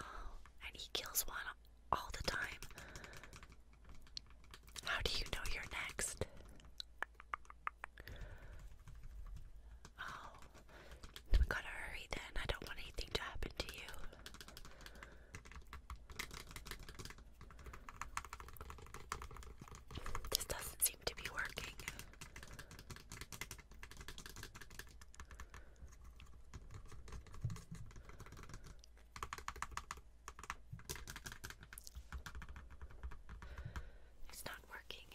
Oh, and he kills one all the time. How do you know you're next? Oh, we gotta hurry then. I don't want anything to happen to you. This doesn't seem to be working. It's not working.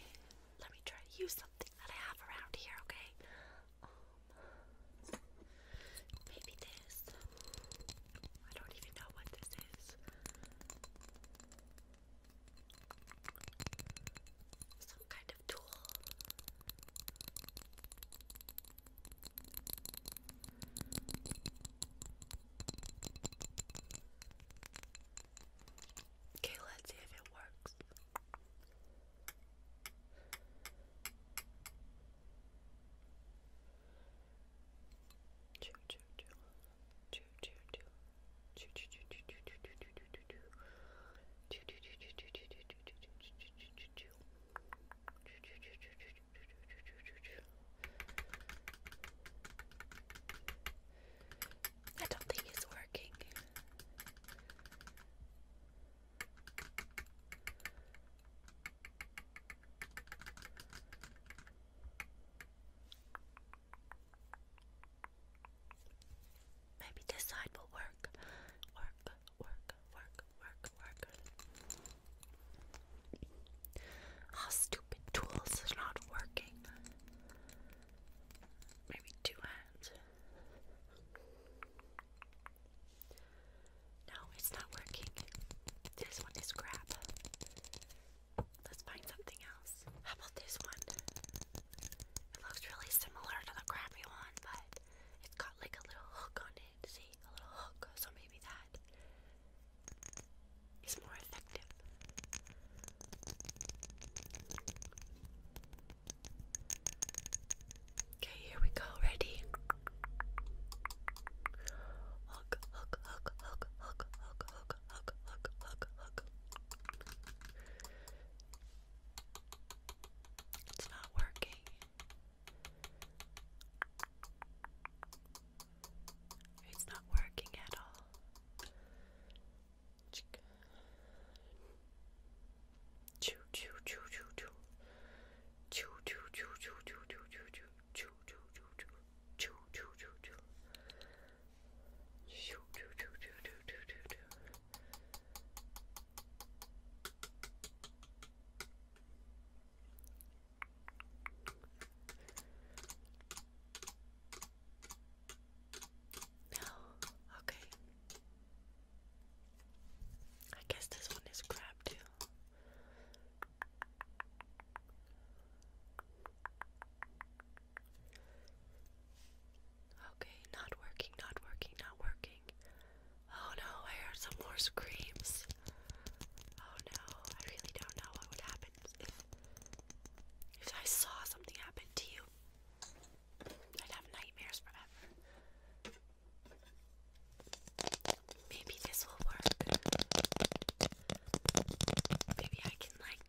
Let me try to use something that I have around here, okay? Um, maybe this. I don't even know what this is. Some kind of tool. Okay, let's see if it works. I don't think it's working. Maybe this side will work. Work, work, work work, work. Ah, oh, stupid tools are not working. Maybe two hands. No, it's not working. This one is crap. Let's find something else. How about this one? It looks really similar to the crappy one, but it's got like a little hook on it. See? a little hook, so maybe that is more effective. Okay, here we go. Ready? Hook, hook, hook, hook, hook, hook, hook, hook, hook, hook, hook. It's not working. It's not working at all. Choo choo choo choo choo. Choo choo choo choo choo choo choo choo. Choo choo choo choo. Choo choo choo choo. Choo choo choo choo choo choo no, okay. I guess this one is crap too. Okay, not working, not working, not working. Oh no, I heard some more screams. Oh no, I really don't know what would happen if, if I saw something happen to you. I'd have nightmares forever. Maybe this will work. Maybe I can, like,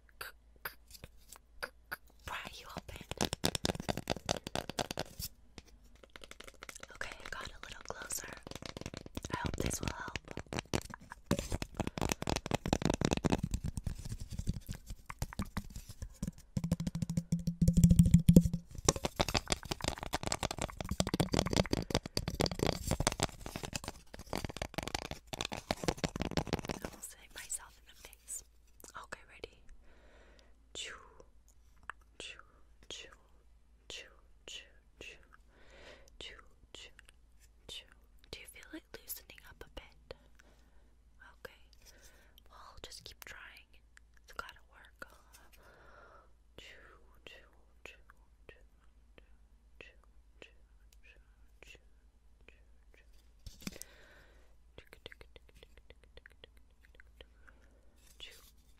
pry you open. Okay, I got a little closer. I hope this will help. I almost hit myself in the face. Okay, ready. Choo, choo, choo choo, choo, choo, choo, choo, choo. Do you feel like loosening up a bit? Okay. Well, just keep trying. It's gotta work. choo, choo, choo, choo, choo, choo, choo, choo, choo. Choo, what, what, what, what, what, what, what, what, what, what, what, what, what,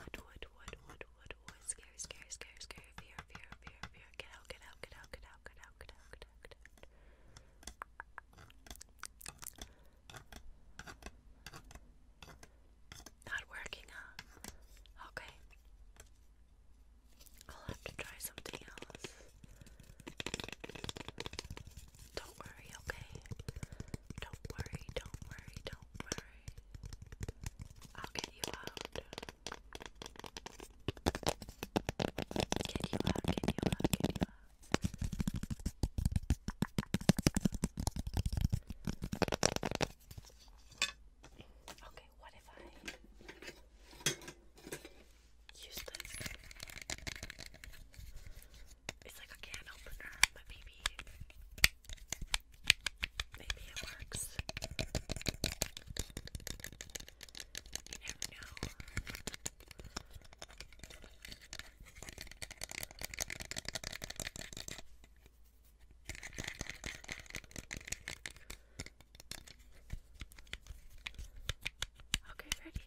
what, what, what, scary, scary, scary, scary, fear, fear, fear, fear, get out, get out, get out, get out, get out, get out, not working, huh? Okay. I'll have to try something else. Don't worry, okay? Don't worry, don't worry, don't worry. I'll get you out. Get you out, get you out, get you out. Okay, what if I use this? It's like a can opener, but maybe maybe it works. You never know. Okay, ready.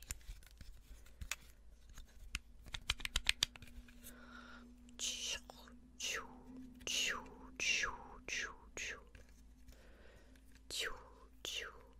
Choo, choo, choo, choo, choo, choo, choo, choo,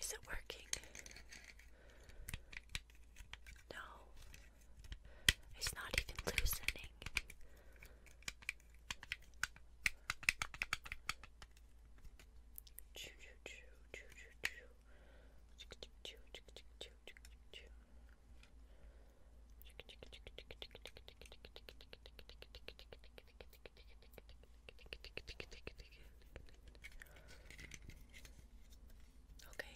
Is it working? No. It's not even loosening. Okay,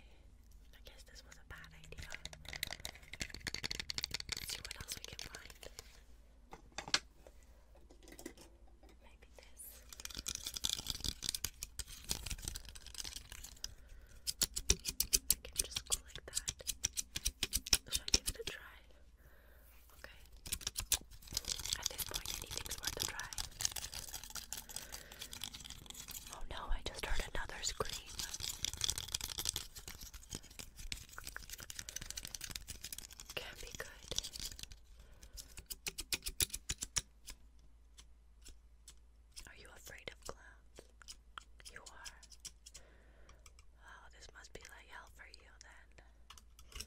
I guess this was a bad idea. Let's see what else we can find. Maybe this. I can just go like that. Should I give it a try? Okay. At this point, anything's worth a try. Oh no, I just heard another scream. can be good. Are you afraid of clowns? You are. Oh, this must be like hell for you then.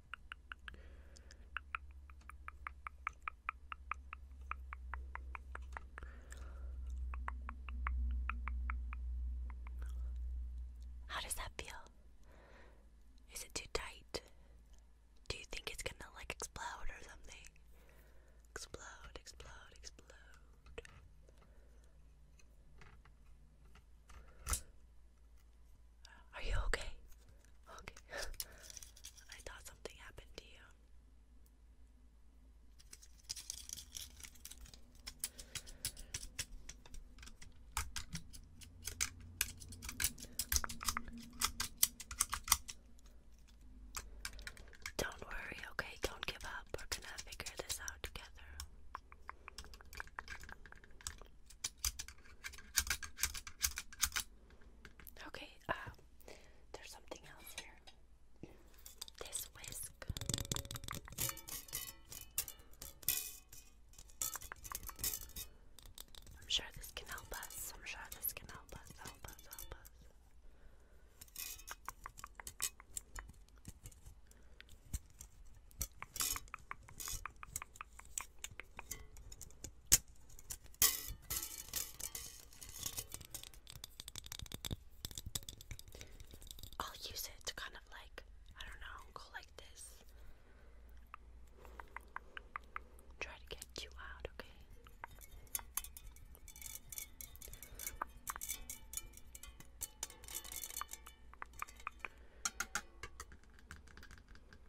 How does that feel? Is it too tight? Do you think it's gonna like explode or something? Explode, explode, explode. Are you okay? Okay. I thought something happened to you. Don't worry, okay? Don't give up. We're gonna figure this out together. Okay, uh, there's something else here. This whisk. I'm sure this can help us. I'm sure this can help us, help us, help us. I'll use it to kind of like, I don't know, go like this. Try to get you out, okay?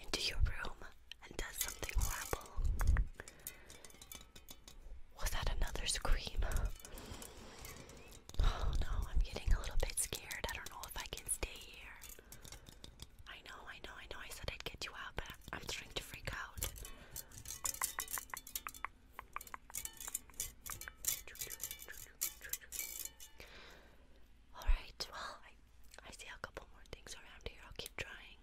into your room and does something horrible. Was that another scream? Oh no, I'm getting a little bit scared. I don't know if I can stay here. I know, I know, I know. I said I'd get you out, but I'm starting to freak out. Alright, well, I see a couple more things around here. I'll keep trying.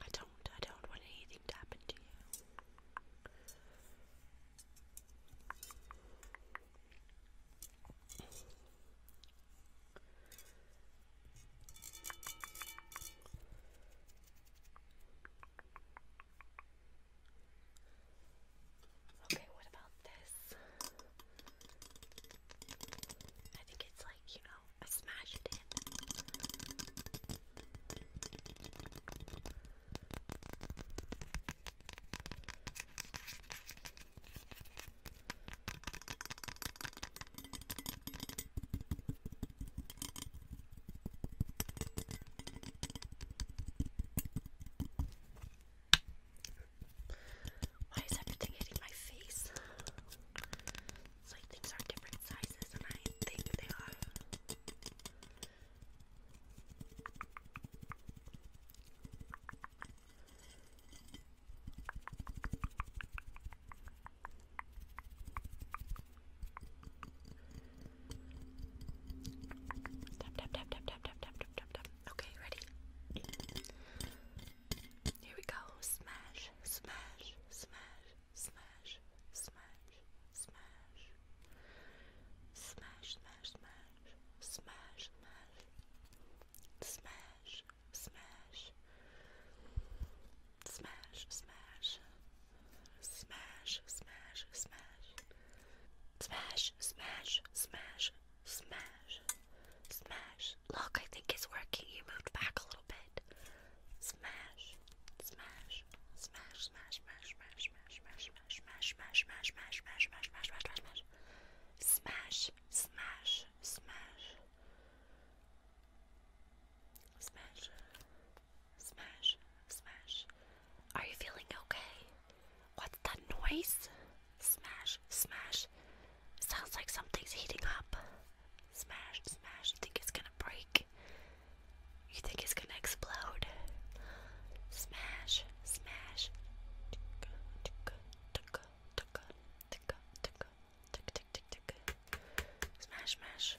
I don't, I don't want anything to happen to you. Okay, what about this? I think it's like, you know, I smash it in. Okay, why is everything hitting my face? It's like things are different sizes, and I think they are. Tap tap tap tap tap tap tap tap tap tap. Okay, ready? Here we go. Smash, smash, smash, smash, smash, smash, smash, smash, smash, smash, smash, smash, smash, smash, smash, Smash, smash, smash. Smash, smash, smash, smash. Smash. Look, I think it's working. You moved back a little bit. Smash, smash, smash, smash, smash, smash, smash, smash, smash, smash, smash, smash, smash, smash, smash, smash, smash. Smash, smash, smash. Smash. Smash, smash. Are you feeling okay? What's that noise? Smash, smash. Sounds like something's heating up. Smash, smash. You think it's gonna break? You think it's gonna explode? Smash, smash. Smash, smash.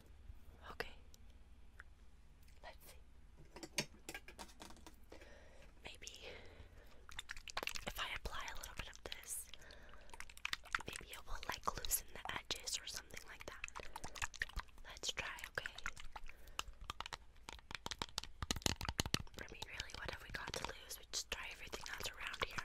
Okay. Let's see. Maybe if I apply a little bit of this, maybe it will like loosen the edges or something like that. Let's try, okay? I mean, really, what have we got to lose? We just try everything else around here.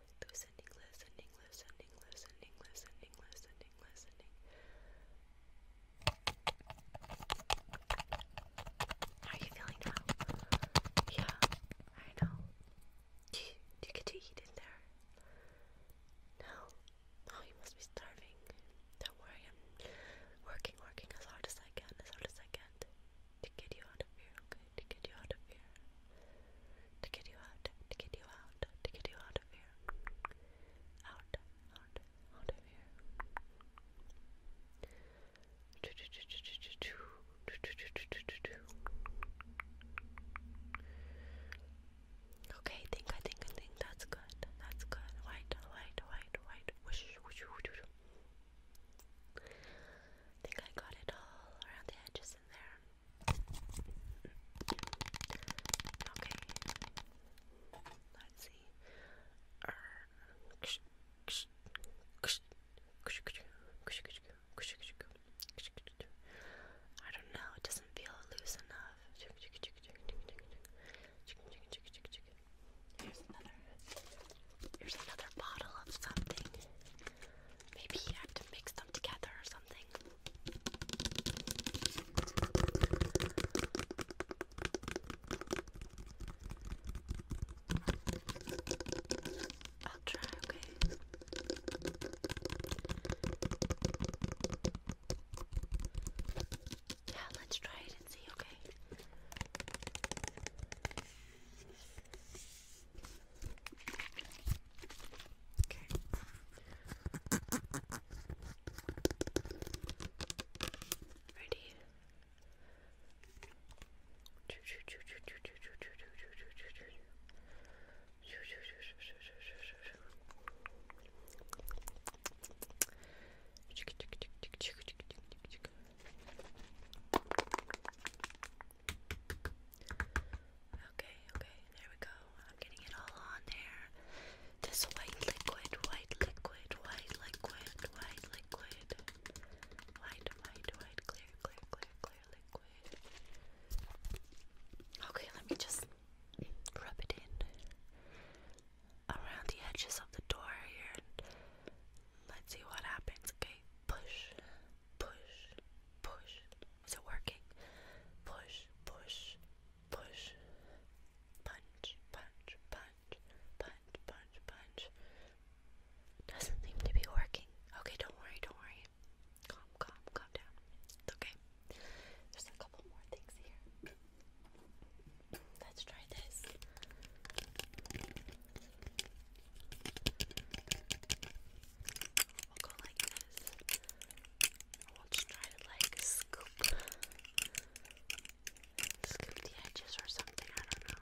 Loosening, loosening, loosening, loosening, loosening, loosening, loosening. How are you feeling now? Yeah, I know. do you get to eat in there? No. Oh, you must be starving. Don't worry, I'm working, working as hard as I can, as hard as I can to get you out of here, okay? To get you out of here to get you out, to get you out, to get you out of here. Out, out, out of here. Okay, think, I think, I think that's good. That's good. White, white, white, white. think I got it all around the edges in there. Okay. Let's see. I don't know, it doesn't feel loose enough. Here's another here's another bottle of something. Maybe you have to mix them together or I'll try, okay? Yeah, let's try it and see, okay? Okay. Ready? Okay. Okay, okay, there we go. I'm getting it all on there. This white liquid, white liquid, white liquid, white liquid. White, white, white, clear, clear, clear, clear liquid. Okay, let me just rub it in around the edges of the door here. Let's see what happens. Okay, push, push, push, is it working? Push, push, push. Punch, punch, punch, punch, punch, punch. Doesn't seem to be working. Okay, don't worry, don't worry. Calm, calm, calm down. It's okay. There's a couple more things here. Let's try this. We'll go like this. I want to try to like scoop, scoop the edges or something. I don't know.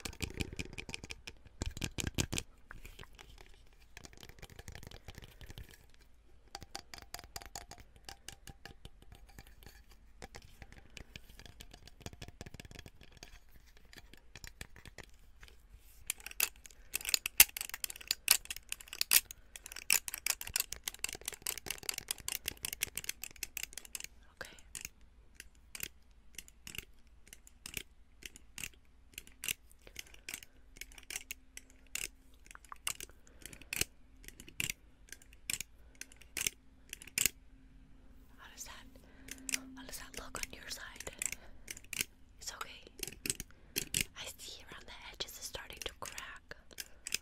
Okay. How does that how does that look on your side? It's okay. I see around the edges is starting to crack. Okay.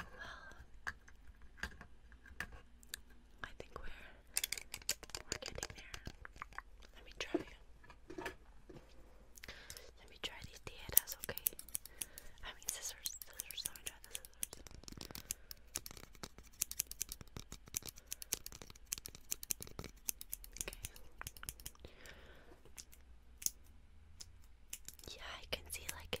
well, I think we're we're getting there. Let me try. Let me try these dietas, okay? I mean scissors, scissors. Let me try the scissors. Okay. Yeah, I can see like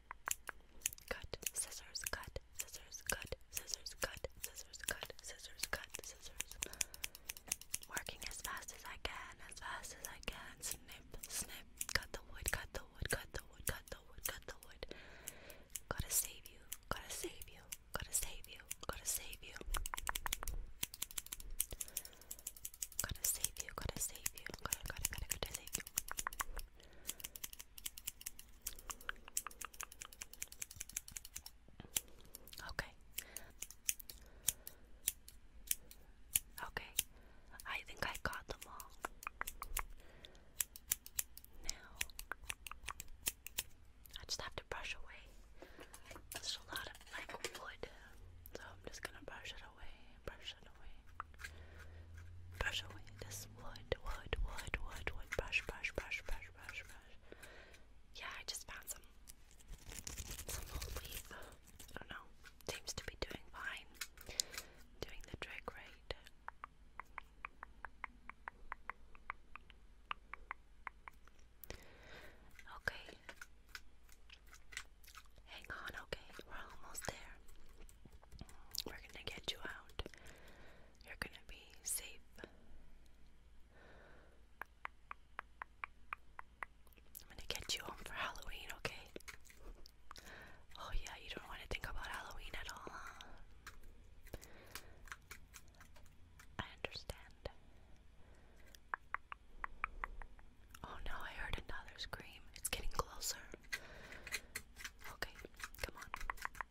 Cut, scissors, cut, scissors, cut, scissors, cut, scissors, cut, scissors, cut, scissors. Working as fast as I can, as fast as I can. Snip, snip, cut the wood, cut the wood, cut the wood, cut the wood, cut the wood. Gotta save you, gotta save you, gotta save you, gotta save you. Gotta save you, gotta save you, gotta, gotta, gotta, gotta save you. Okay. Okay. I think I got them all. Now, I just have to brush away. There's a lot of like wood, so I'm just gonna brush it away, brush it away. Brush away this wood, wood, wood, wood, wood. Brush, brush, brush, brush, brush, brush. Yeah, I just found some some old leaf. I don't know. Seems to be doing fine. Doing the trick right. Okay. Hang on, okay? We're almost there. We're gonna get you out. You're gonna be safe. I'm gonna get you home for Halloween, okay? Oh, yeah, you don't want to think about Halloween at all, huh? I understand. Oh no, I heard another scream. It's getting closer. Okay, come on. Okay.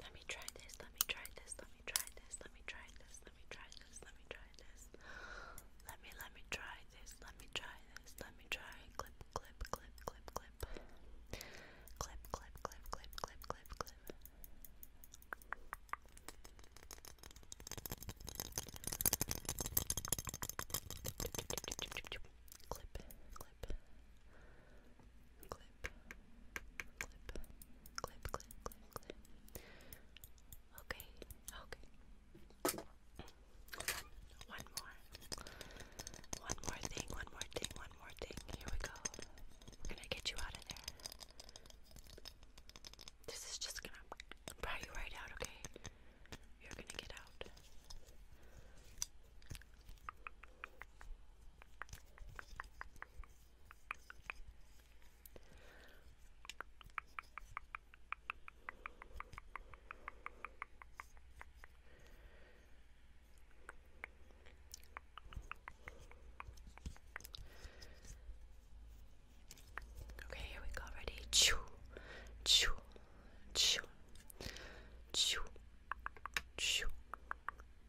Let me try this, let me try this, let me try this, let me try this, let me try this, let me try this. Let me, let me try this, let me try this, let me try. Clip, clip, clip, clip, clip. Clip, clip, clip, clip, clip, clip, clip. Clip, clip. Clip, clip, clip, clip, clip, clip. Okay, okay. One more. One more thing, one more thing, one more thing. Here we go. We're gonna get you out of there. This is just gonna pry you right out, okay? You're gonna get out. Okay, here we go. Ready? Choo, choo, choo, choo, choo,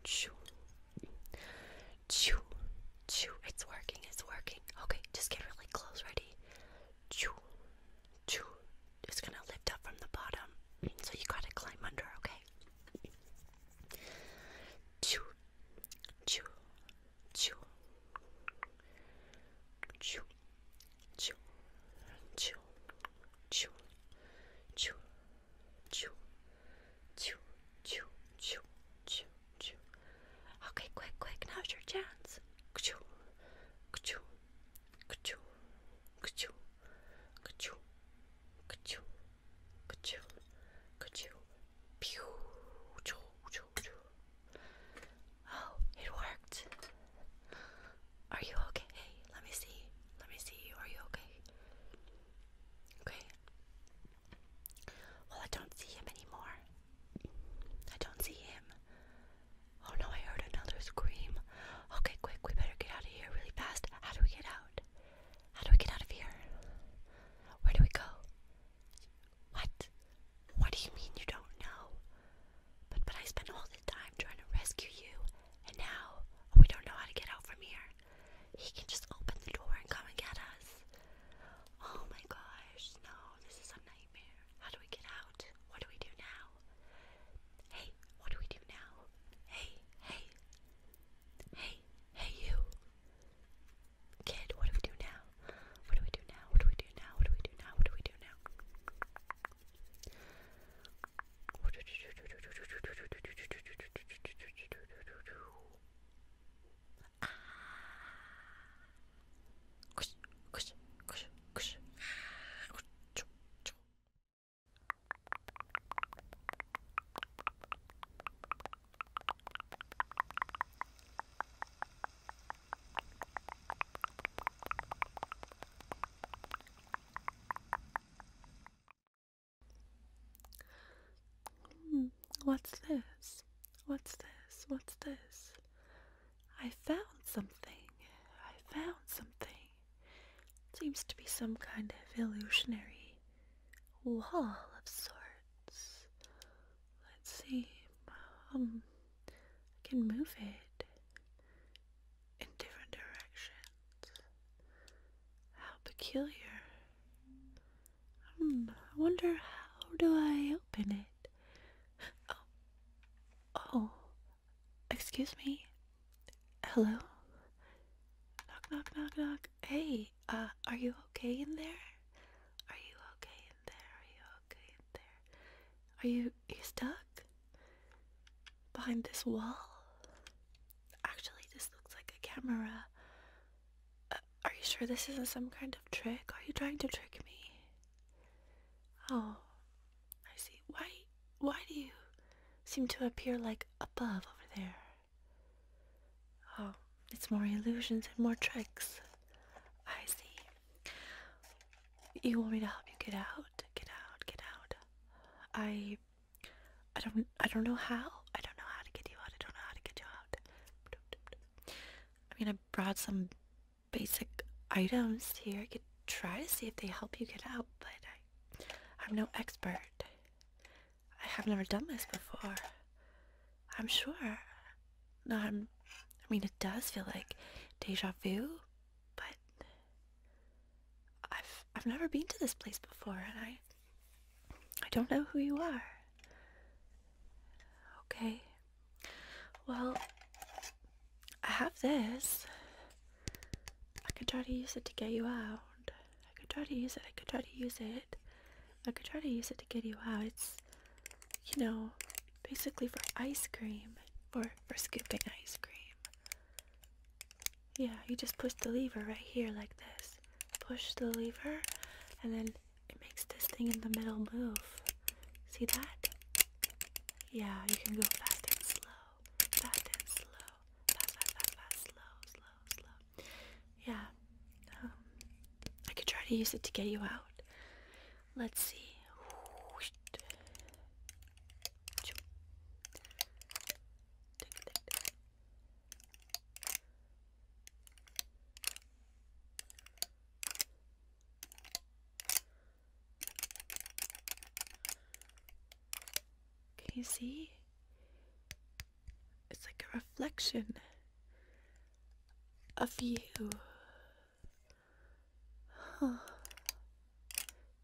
choo, choo, choo. It's working. It's working. Okay, just get really close. Ready? choo, choo. It's gonna lift up from the bottom, so you gotta climb under, okay? Choo, choo, choo, choo, choo, choo, choo, choo, choo, choo, choo, choo, choo, choo. Okay, quick, quick, now's your chance. Choo, choo, choo, choo. Ka-choo. Ka-choo. Ka-choo. Ka-choo. Pew. Choo, choo, choo. Oh, it worked. Are you okay? Hey, let me see. Let me see you. Are you okay? Okay. Well, I don't see him anymore. I don't see him. Oh no, I heard another scream. Okay, quick, we better get out of here really fast. How do we get out? How do we get out of here? Where do we go? What? What do you mean you don't know? But but I spent all the time trying to rescue you, and now we don't know how to get out from here. He can just open the door and come and get us. Oh my gosh, no, this is a nightmare. How do we get out? What do we do now? Hey, Hey, what do we do now? Hey, hey. Hey, hey you. Kid, what do we do now? What do we do now? What do we do now? What do we do now? What do we do now? Ah. Kush, kush, kush, kush. Ah. Hmm, what's this? What's this? What's this? I found something. I found something. Seems to be some kind of illusionary wall of sorts. Let's see. Um, I can move it in different directions. How peculiar. Hmm, I wonder how do I open it? Oh, oh, excuse me. Hello? Knock, knock, knock, knock. Hey, uh, are you okay in there? Are you okay in there? Are you okay in there? Are you, you stuck? Behind this wall? Actually, this looks like a camera. Uh, are you sure this isn't some kind of trick? Are you trying to trick me? Oh, I see. Why why do you seem to appear like above over there? Oh, it's more illusions and more tricks. I see. You want me to help you get out? Get out, get out. I I don't I don't know how. I don't know how to get you out. I don't know how to get you out. I mean I brought some basic items here. I could try to see if they help you get out, but I I'm no expert. I have never done this before. I'm sure. No, I'm. I mean, it does feel like deja vu, but I've I've never been to this place before, and I I don't know who you are. Okay. Well, I have this. I could try to use it to get you out. I could try to use it. I could try to use it. I could try to use it to get you out. It's, you know, basically for ice cream. Or for scooping ice cream. Yeah, you just push the lever right here like this. Push the lever, and then it makes this thing in the middle move. See that? Yeah, you can go fast and slow fat and slow, fat, fat, fat, fat, slow, slow, slow. Yeah, um, I could try to use it to get you out. Let's see. Can you see? It's like a reflection of you. Huh.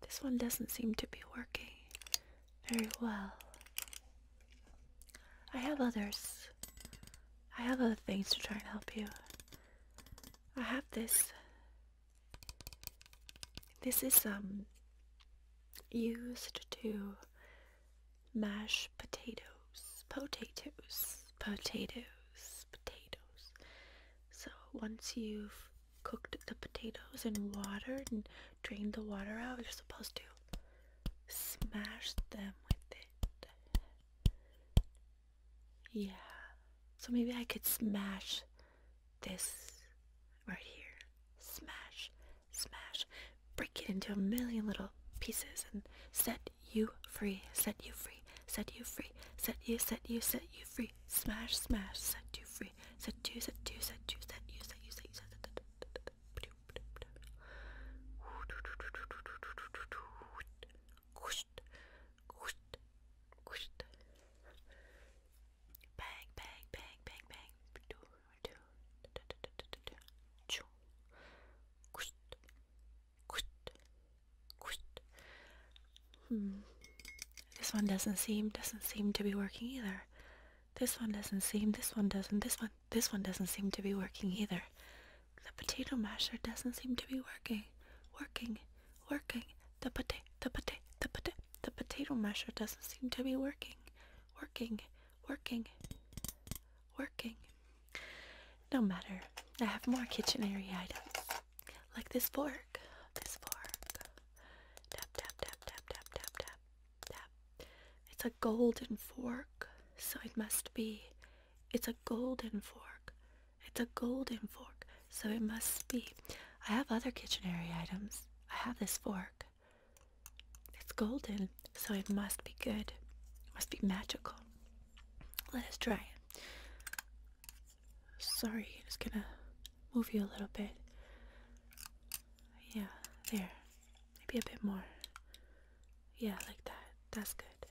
This one doesn't seem to be working very well. I have others. I have other things to try and help you. I have this this is um used to mash potatoes, potatoes, potatoes, potatoes. So once you've cooked the potatoes in water and drained the water out, you're supposed to smash them with it. Yeah. So maybe I could smash this right here. Smash, smash. Break it into a million little pieces and set you free, set you free, set you free, set you, set you, set you free. Smash, smash, set you free, set you, set you, set you, set you, set you, set you, set you. Bang, bang, bang, bang, bang. Hmm. This one doesn't seem doesn't seem to be working either. This one doesn't seem. This one doesn't. This one. This one doesn't seem to be working either. The potato masher doesn't seem to be working. Working. Working. The potato, the potato, the potato, the potato masher doesn't seem to be working. Working, working, working. No matter, I have more kitchen area items. Like this fork, this fork. Tap, tap, tap, tap, tap, tap, tap, tap. It's a golden fork, so it must be. It's a golden fork. It's a golden fork so it must be. I have other kitchenary items. I have this fork. It's golden, so it must be good. It must be magical. Let us try it. Sorry, I'm just gonna move you a little bit. Yeah, there. Maybe a bit more. Yeah, like that. That's good.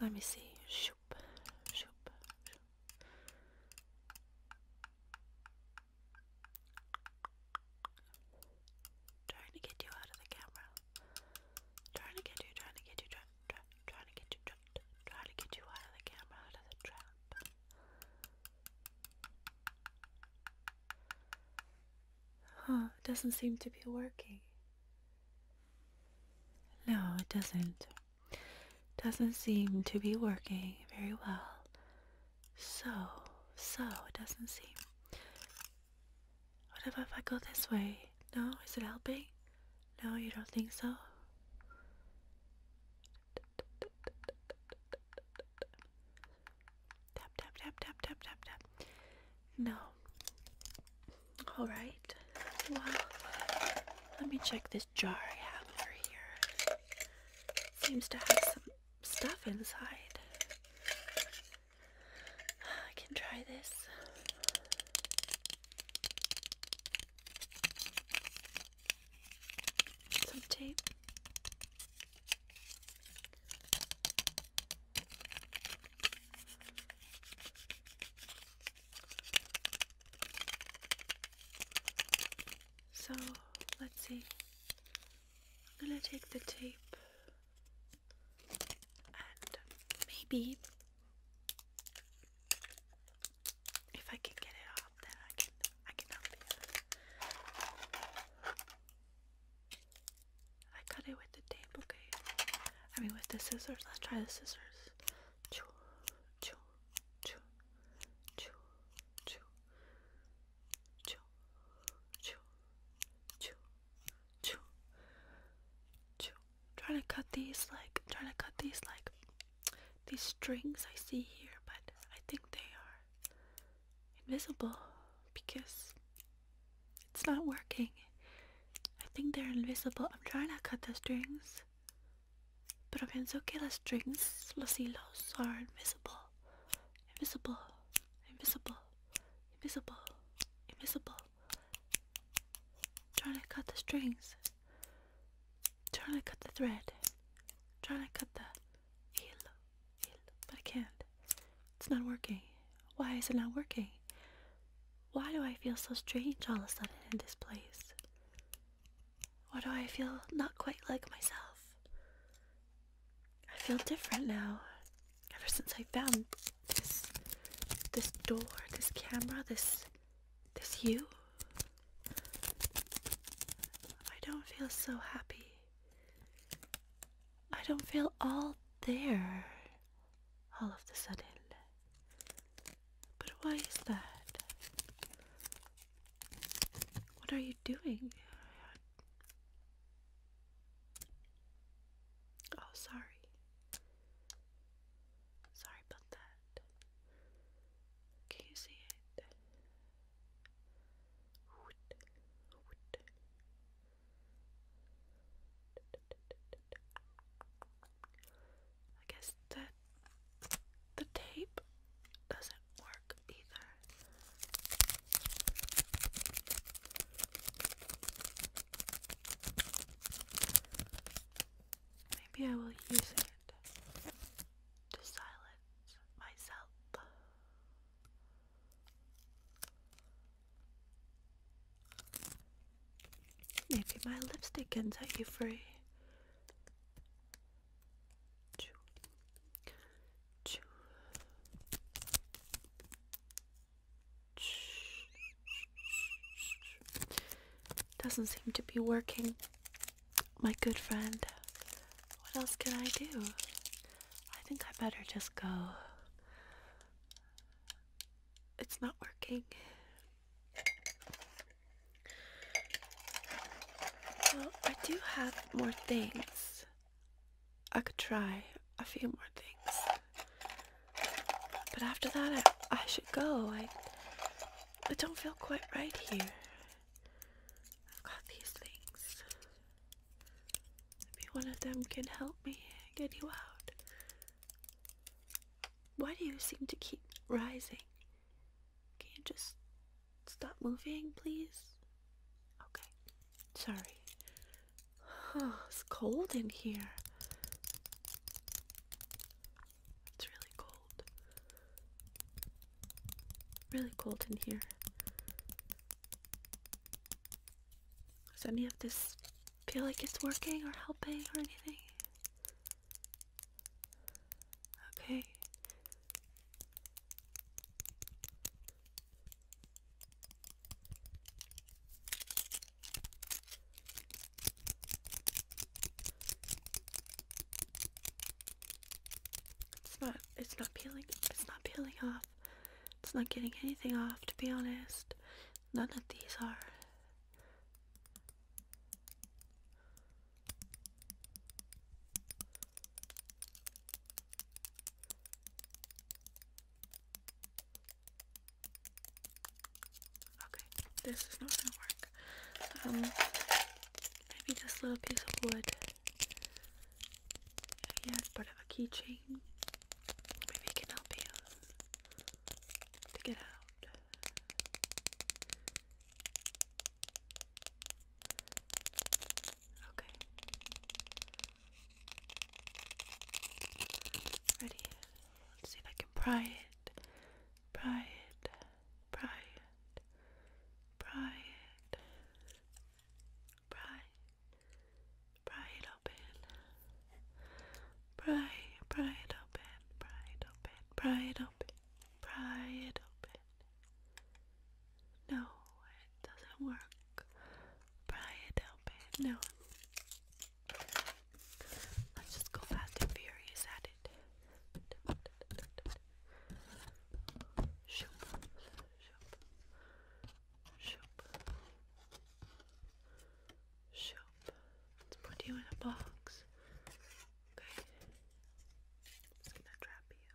Let me see. Shoop, shoop, shoop. Trying to get you out of the camera. Trying to get you, trying to get you, trying, trying, trying to get you, trying, trying to get you out of the camera, out of the trap. Huh, it doesn't seem to be working. No, it doesn't. Doesn't seem to be working very well. So, so, it doesn't seem. What about if I go this way? No? Is it helping? No, you don't think so? Tap, tap, tap, tap, tap, tap, tap. No. Alright. Well, let me check this jar I have over here. Seems to have some stuff inside. I can try this. Some tape. So let's see. I'm gonna take the tape and maybe if I can get it off then I can I can help you. I cut it with the tape, okay. I mean with the scissors, let's try the scissors. Choo, choo, choo, choo, choo, choo, choo, choo, choo. Trying to cut these like, trying to cut these like, these strings I see here, but I think they are invisible because it's not working. I think they're invisible. I'm trying to cut the strings. But Pero pienso que the strings, los hilos, are invisible. Invisible, invisible, invisible, invisible. Trying to cut the strings. Trying to cut the thread. Trying to cut the heel, but I can't. It's not working. Why is it not working? Why do I feel so strange all of a sudden in this place? Why do I feel not quite like myself? I feel different now. Ever since I found this this door, this camera, this this you. I don't feel so happy. I don't feel all there all of a sudden. But why is that? What are you doing? Oh, sorry. Sorry about that. Can you see it? I guess that the tape doesn't work either. Maybe I will use it to silence myself. Maybe my lipstick can set you free. Doesn't seem to be working, my good friend. What else can I do? I think I better just go. It's not working. Well, I do have more things. I could try a few more things. But after that, I, should go. I, I don't feel quite right here. I've got these things. Maybe one of them can help me get you out. Why do you seem to keep rising? Can you just Stop moving, please. Okay. Sorry. it's cold in here. It's really cold. Really cold in here. Does any of this feel like it's working or helping or anything? Okay. It's not it's not peeling it's not peeling off. It's not getting anything off to be honest. None of these are. Okay, this is not gonna work. Um, maybe this little piece of wood. Yeah, it's part a keychain. Maybe can help you to get out. Okay. Ready? Let's see if I can pry it. Pry it. Pry it. Pry it. Pry. Pry it open. Pry. Pry it open. Pry it open. Pry it open. Pry it open. No, it doesn't work. Pry it open. No. Let's just go fast and furious at it. Shoop, shoop, shoop, shoop. Let's put you in a box. Okay. gonna trap you.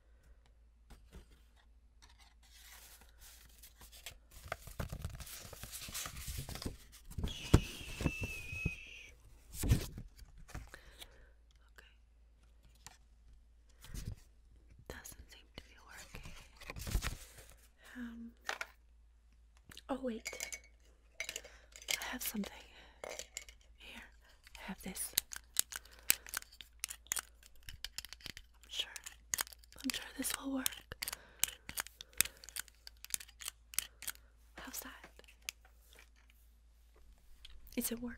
Okay. Doesn't seem to be working. Um oh wait. I have something. Here, I have this. I'm sure. I'm sure this will work. How's that? Is it working?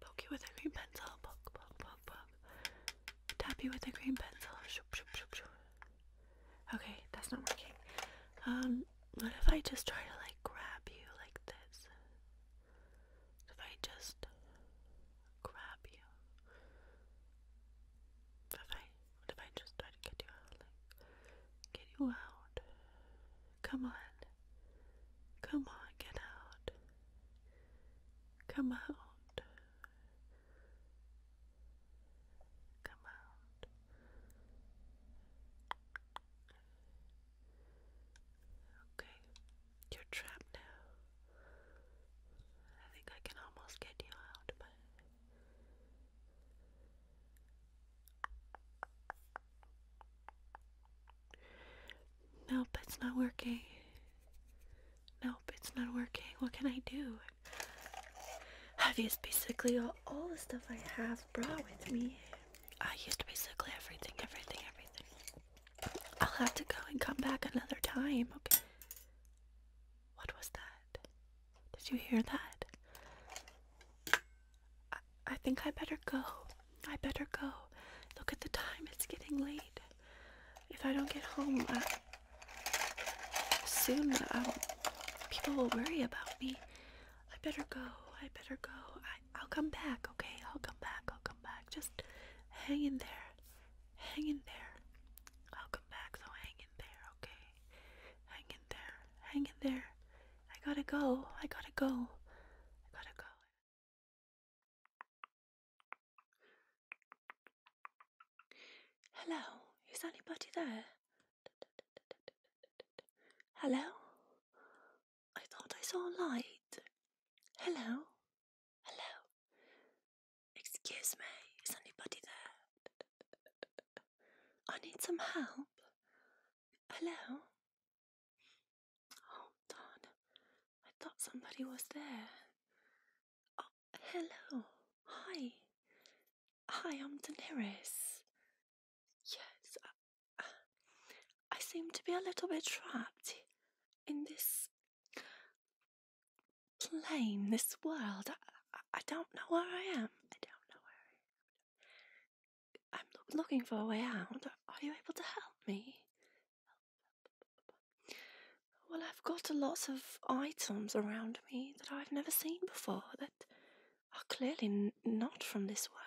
Poke you with a green pencil. Poke, poke, poke, poke. Tap you with a green pencil. shoot, shoot, shoot, shoot. Okay, that's not working. Um, what if I just try to like grab you like this? If I just grab you. If I what if I just try to get you out? Like get you out. Come on. Come on, get out. Come out. Come out. Okay, you're trapped now. I think I can almost get you out, but. Nope, it's not working. Nope, it's not working. What can I do? I've used basically all, all the stuff I have brought with me. I used basically everything, everything, everything. I'll have to go and come back another time, okay? What was that? Did you hear that? I, I think I better go. I better go. Look at the time, it's getting late. If I don't get home uh, soon, um, people will worry about me. I better go. I better go. I'll come back, okay? I'll come back. I'll come back. Just hang in there. Hang in there. I'll come back, so hang in there, okay? Hang in there. Hang in there. I gotta go. I gotta go. I gotta go. Hello, is anybody there? Hello? I thought I saw a light. Hello? Hello? Excuse me, is anybody there? I need some help. Hello? Oh, darn. I thought somebody was there. Oh, hello. Hi. Hi, I'm Daenerys. Yes, uh, I, seem to be a little bit trapped in this plane, this world. I don't know where I am. I don't know where I am. I'm looking for a way out. Are you able to help me? Well, I've got a lot of items around me that I've never seen before that are clearly not from this world.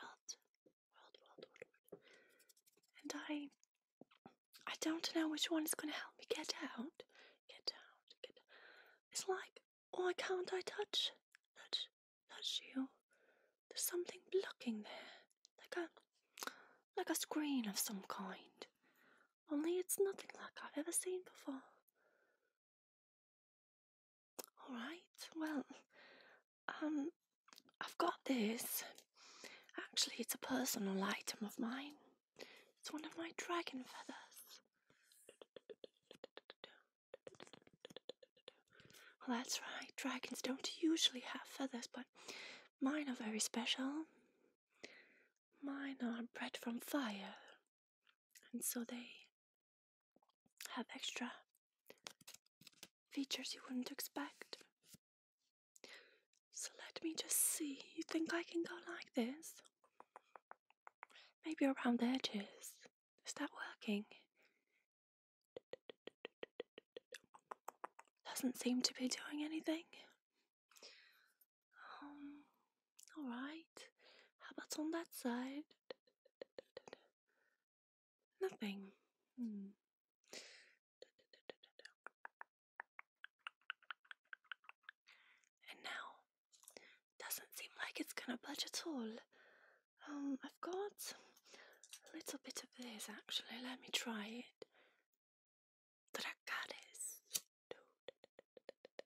And I, I don't know which one is going to help me get out. Get out. Get. Out. It's like, why can't I touch, touch, touch you? There's something blocking there like a like a screen of some kind. Only it's nothing like I've ever seen before. Alright, well, um, I've got this. Actually, it's a personal item of mine. It's one of my dragon feathers. Well, that's right, dragons don't usually have feathers, but Mine are very special. Mine are bred from fire, and so they have extra features you wouldn't expect. So let me just see. You think I can go like this? Maybe around the edges. Is that working? doesn't seem to be doing anything. Um, alright. How about on that side? Nothing. Hmm. And now, doesn't seem like it's gonna budge at all. Um, I've got a little bit of this actually. Let me try it that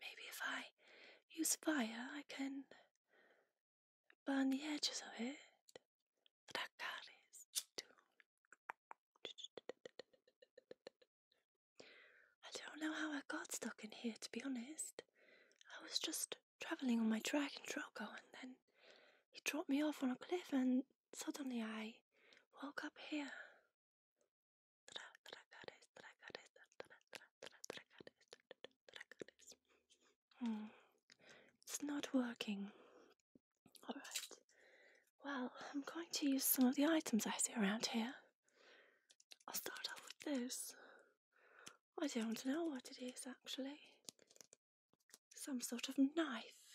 maybe if I use fire, I can burn the edges of it. That I don't know how I got stuck in here, to be honest. I was just travelling on my dragon troco, and then he dropped me off on a cliff, and suddenly I woke up here. It's not working. Alright. Well, I'm going to use some of the items I see around here. I'll start off with this. I don't know what it is actually some sort of knife,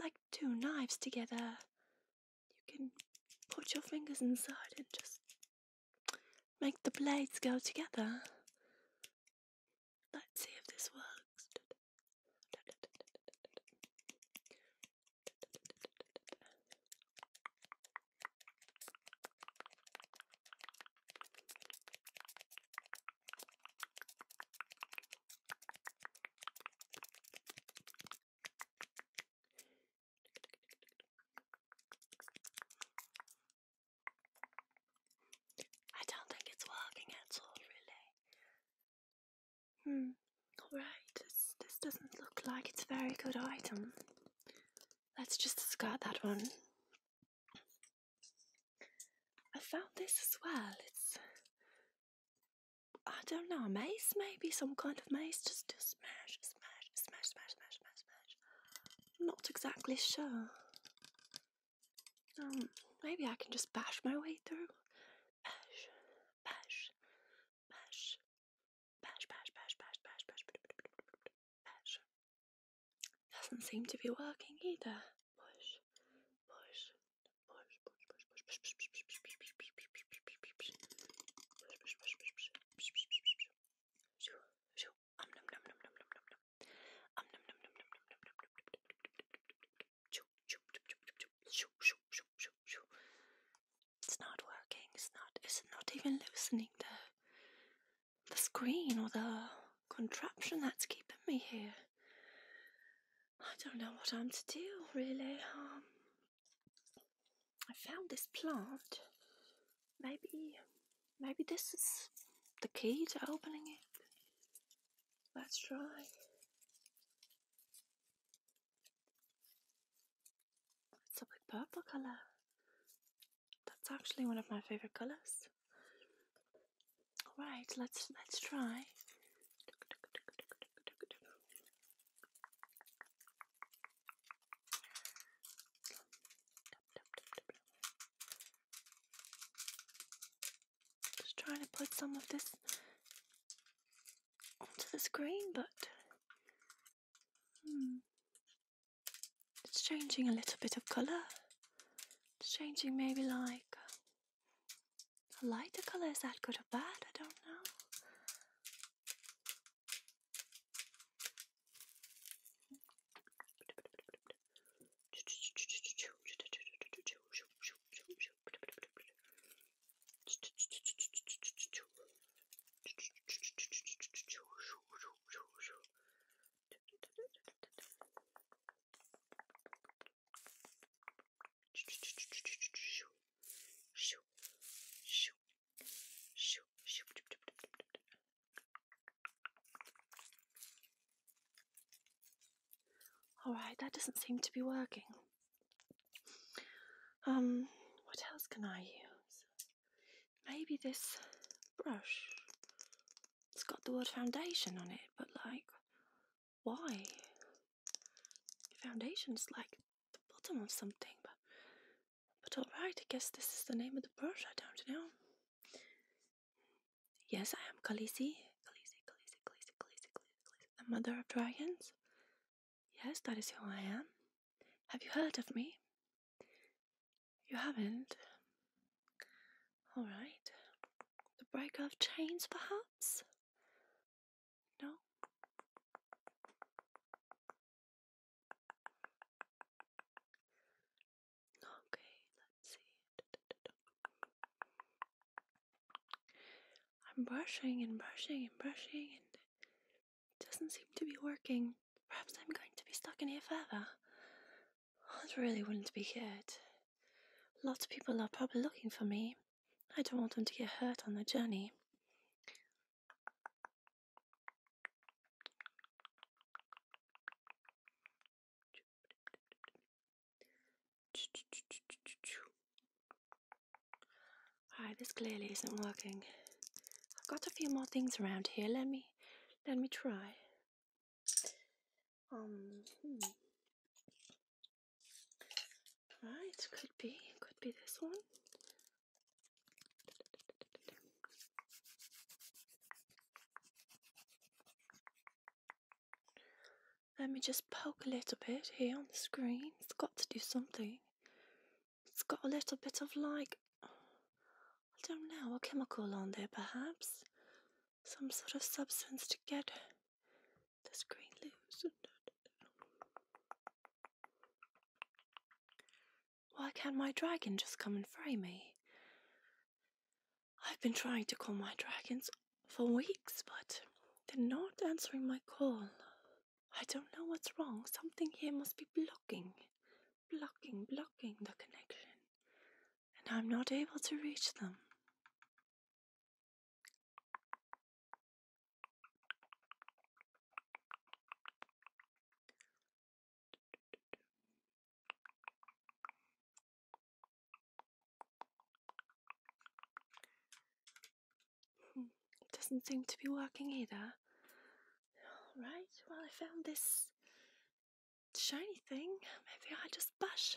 like two knives together. You can put your fingers inside and just make the blades go together. Let's see if this works. I don't think it's working at all, really. Hmm. All right. This this doesn't look like it's a very good item. Let's just discard that one. I found this as well. It's I don't know, a maze maybe, some kind of maze. Just just smash, smash, smash, smash, smash, smash, smash. I'm not exactly sure. Um, maybe I can just bash my way through. Bash, bash, bash, bash, bash, bash, bash, bash, bash, bash. Doesn't seem to be working either. Push, push, it's not working. It's not. It's not even loosening the the screen or the contraption that's keeping me here. I don't know what I'm to do really. Um, I found this plant. Maybe, maybe this is the key to opening it. Let's try. It's a purple colour. That's actually one of my favourite colours. All right, let's let's try. Just trying to put some of this onto the screen, but hmm. it's changing a little bit of color. It's changing maybe like the lighter color, is that good or bad? I don't know. Alright, that doesn't seem to be working. Um, what else can I use? Maybe this brush. It's got the word foundation on it, but like, why. The foundation is like the bottom of something, but but alright, I guess this is the name of the brush, I don't know. Yes, I am Khaleesi. Khaleesi, Khaleesi, Khaleesi, Khaleesi, Khaleesi, the mother of dragons. Yes, that is who I am. Have you heard of me? You haven't? Alright. The breaker of chains, perhaps? No? Okay, let's see. I'm brushing and brushing and brushing, and it doesn't seem to be working. Perhaps I'm going to be stuck in here forever. That oh, really would to be here. Lots of people are probably looking for me. I don't want them to get hurt on their journey. Alright, this clearly isn't working. I've got a few more things around here. Let me let me try. Um, hmm. Right, could be, could be this one. Let me just poke a little bit here on the screen. It's got to do something. It's got a little bit of like, I don't know, a chemical on there perhaps some sort of substance to get this green loose. Why can't my dragon just come and free me? I've been trying to call my dragons for weeks, but they're not answering my call. I don't know what's wrong. Something here must be blocking, blocking, blocking the connection, and I'm not able to reach them. Hmm, it doesn't seem to be working either. Alright, well, I found this shiny thing. Maybe I just bash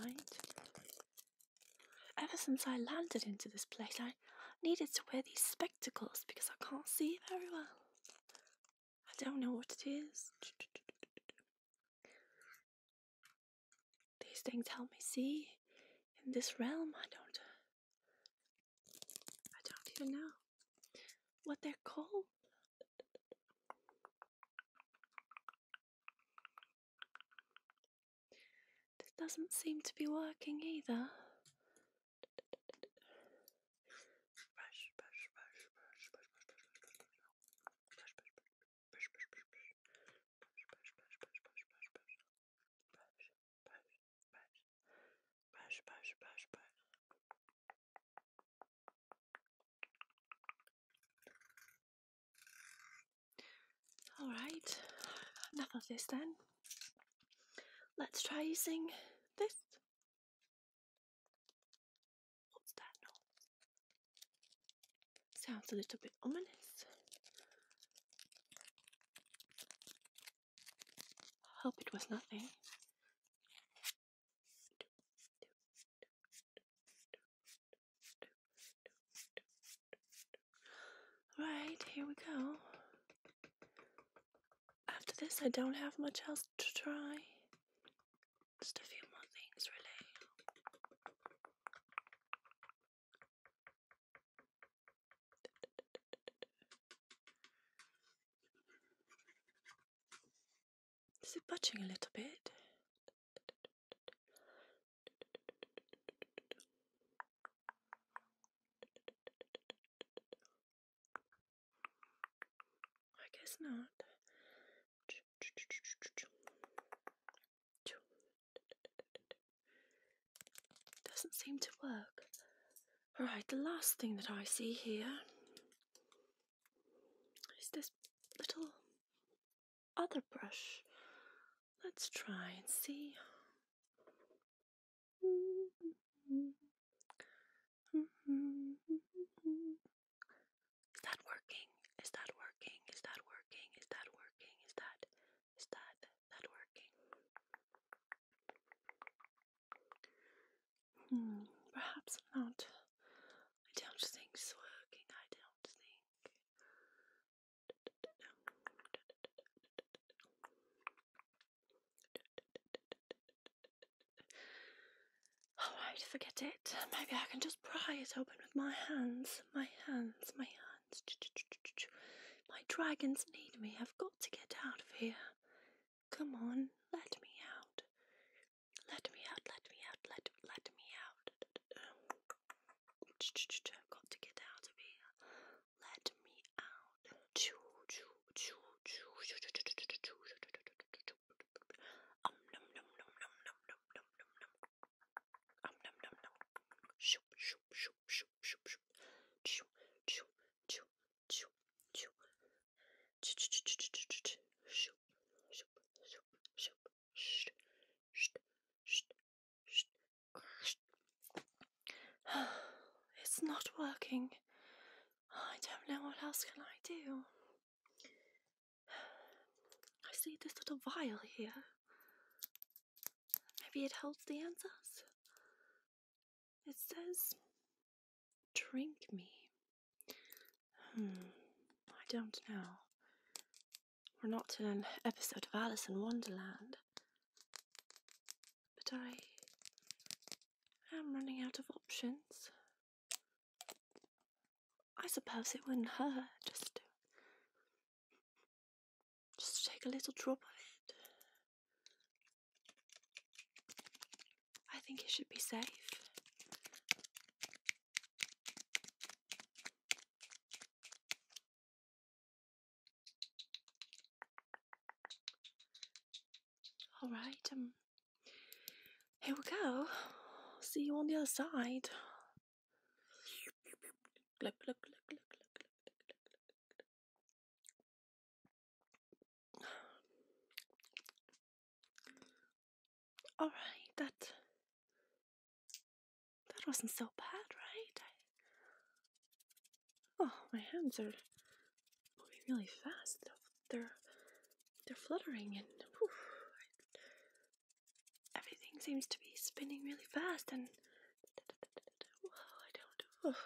right. Ever since I landed into this place, I needed to wear these spectacles because I can't see very well. I don't know what it is. These things help me see in this realm. I don't. I don't even know what they're called. This doesn't seem to be working either. Alright, enough of this then. Let's try using this. What's that noise? Sounds a little bit ominous. Hope it was nothing. Alright, here we go. After this, I don't have much else to try. Just a few more things, really. Is it budging a little bit? I guess not. Doesn't seem to work. All right, the last thing that I see here is this little other brush. Let's try and see. Is that working? Is that working? Is that working? Is that working? Is that is that that working? Hmm, perhaps not. I don't think it's working. I don't think. Oh, Alright, forget it. Maybe I can just pry it open with my hands. My hands, my hands. My dragons need me. I've got to get out of here. Come on, let me out. Let me out, let me out, let, let me out. I've got to get out of here. Let me out. Um num num num num num num num num num. Um num num num. Shoop shoop shoop shoop shoop shoop. Choo choo choo choo choo. Shoop shoop shoop shoop shoop. it's not working. I don't know what else can I do. I see this little vial here. Maybe it holds the answers. It says, drink me. Hmm, I don't know. We're not in an episode of Alice in Wonderland. But I am running out of options. I suppose it wouldn't hurt just to, just to take a little drop of it. I think it should be safe. All right, um, here we go. See you on the other side. All right, that that wasn't so bad, right? Oh, my hands are moving really fast. They're they're fluttering and everything seems to be spinning really fast and I don't.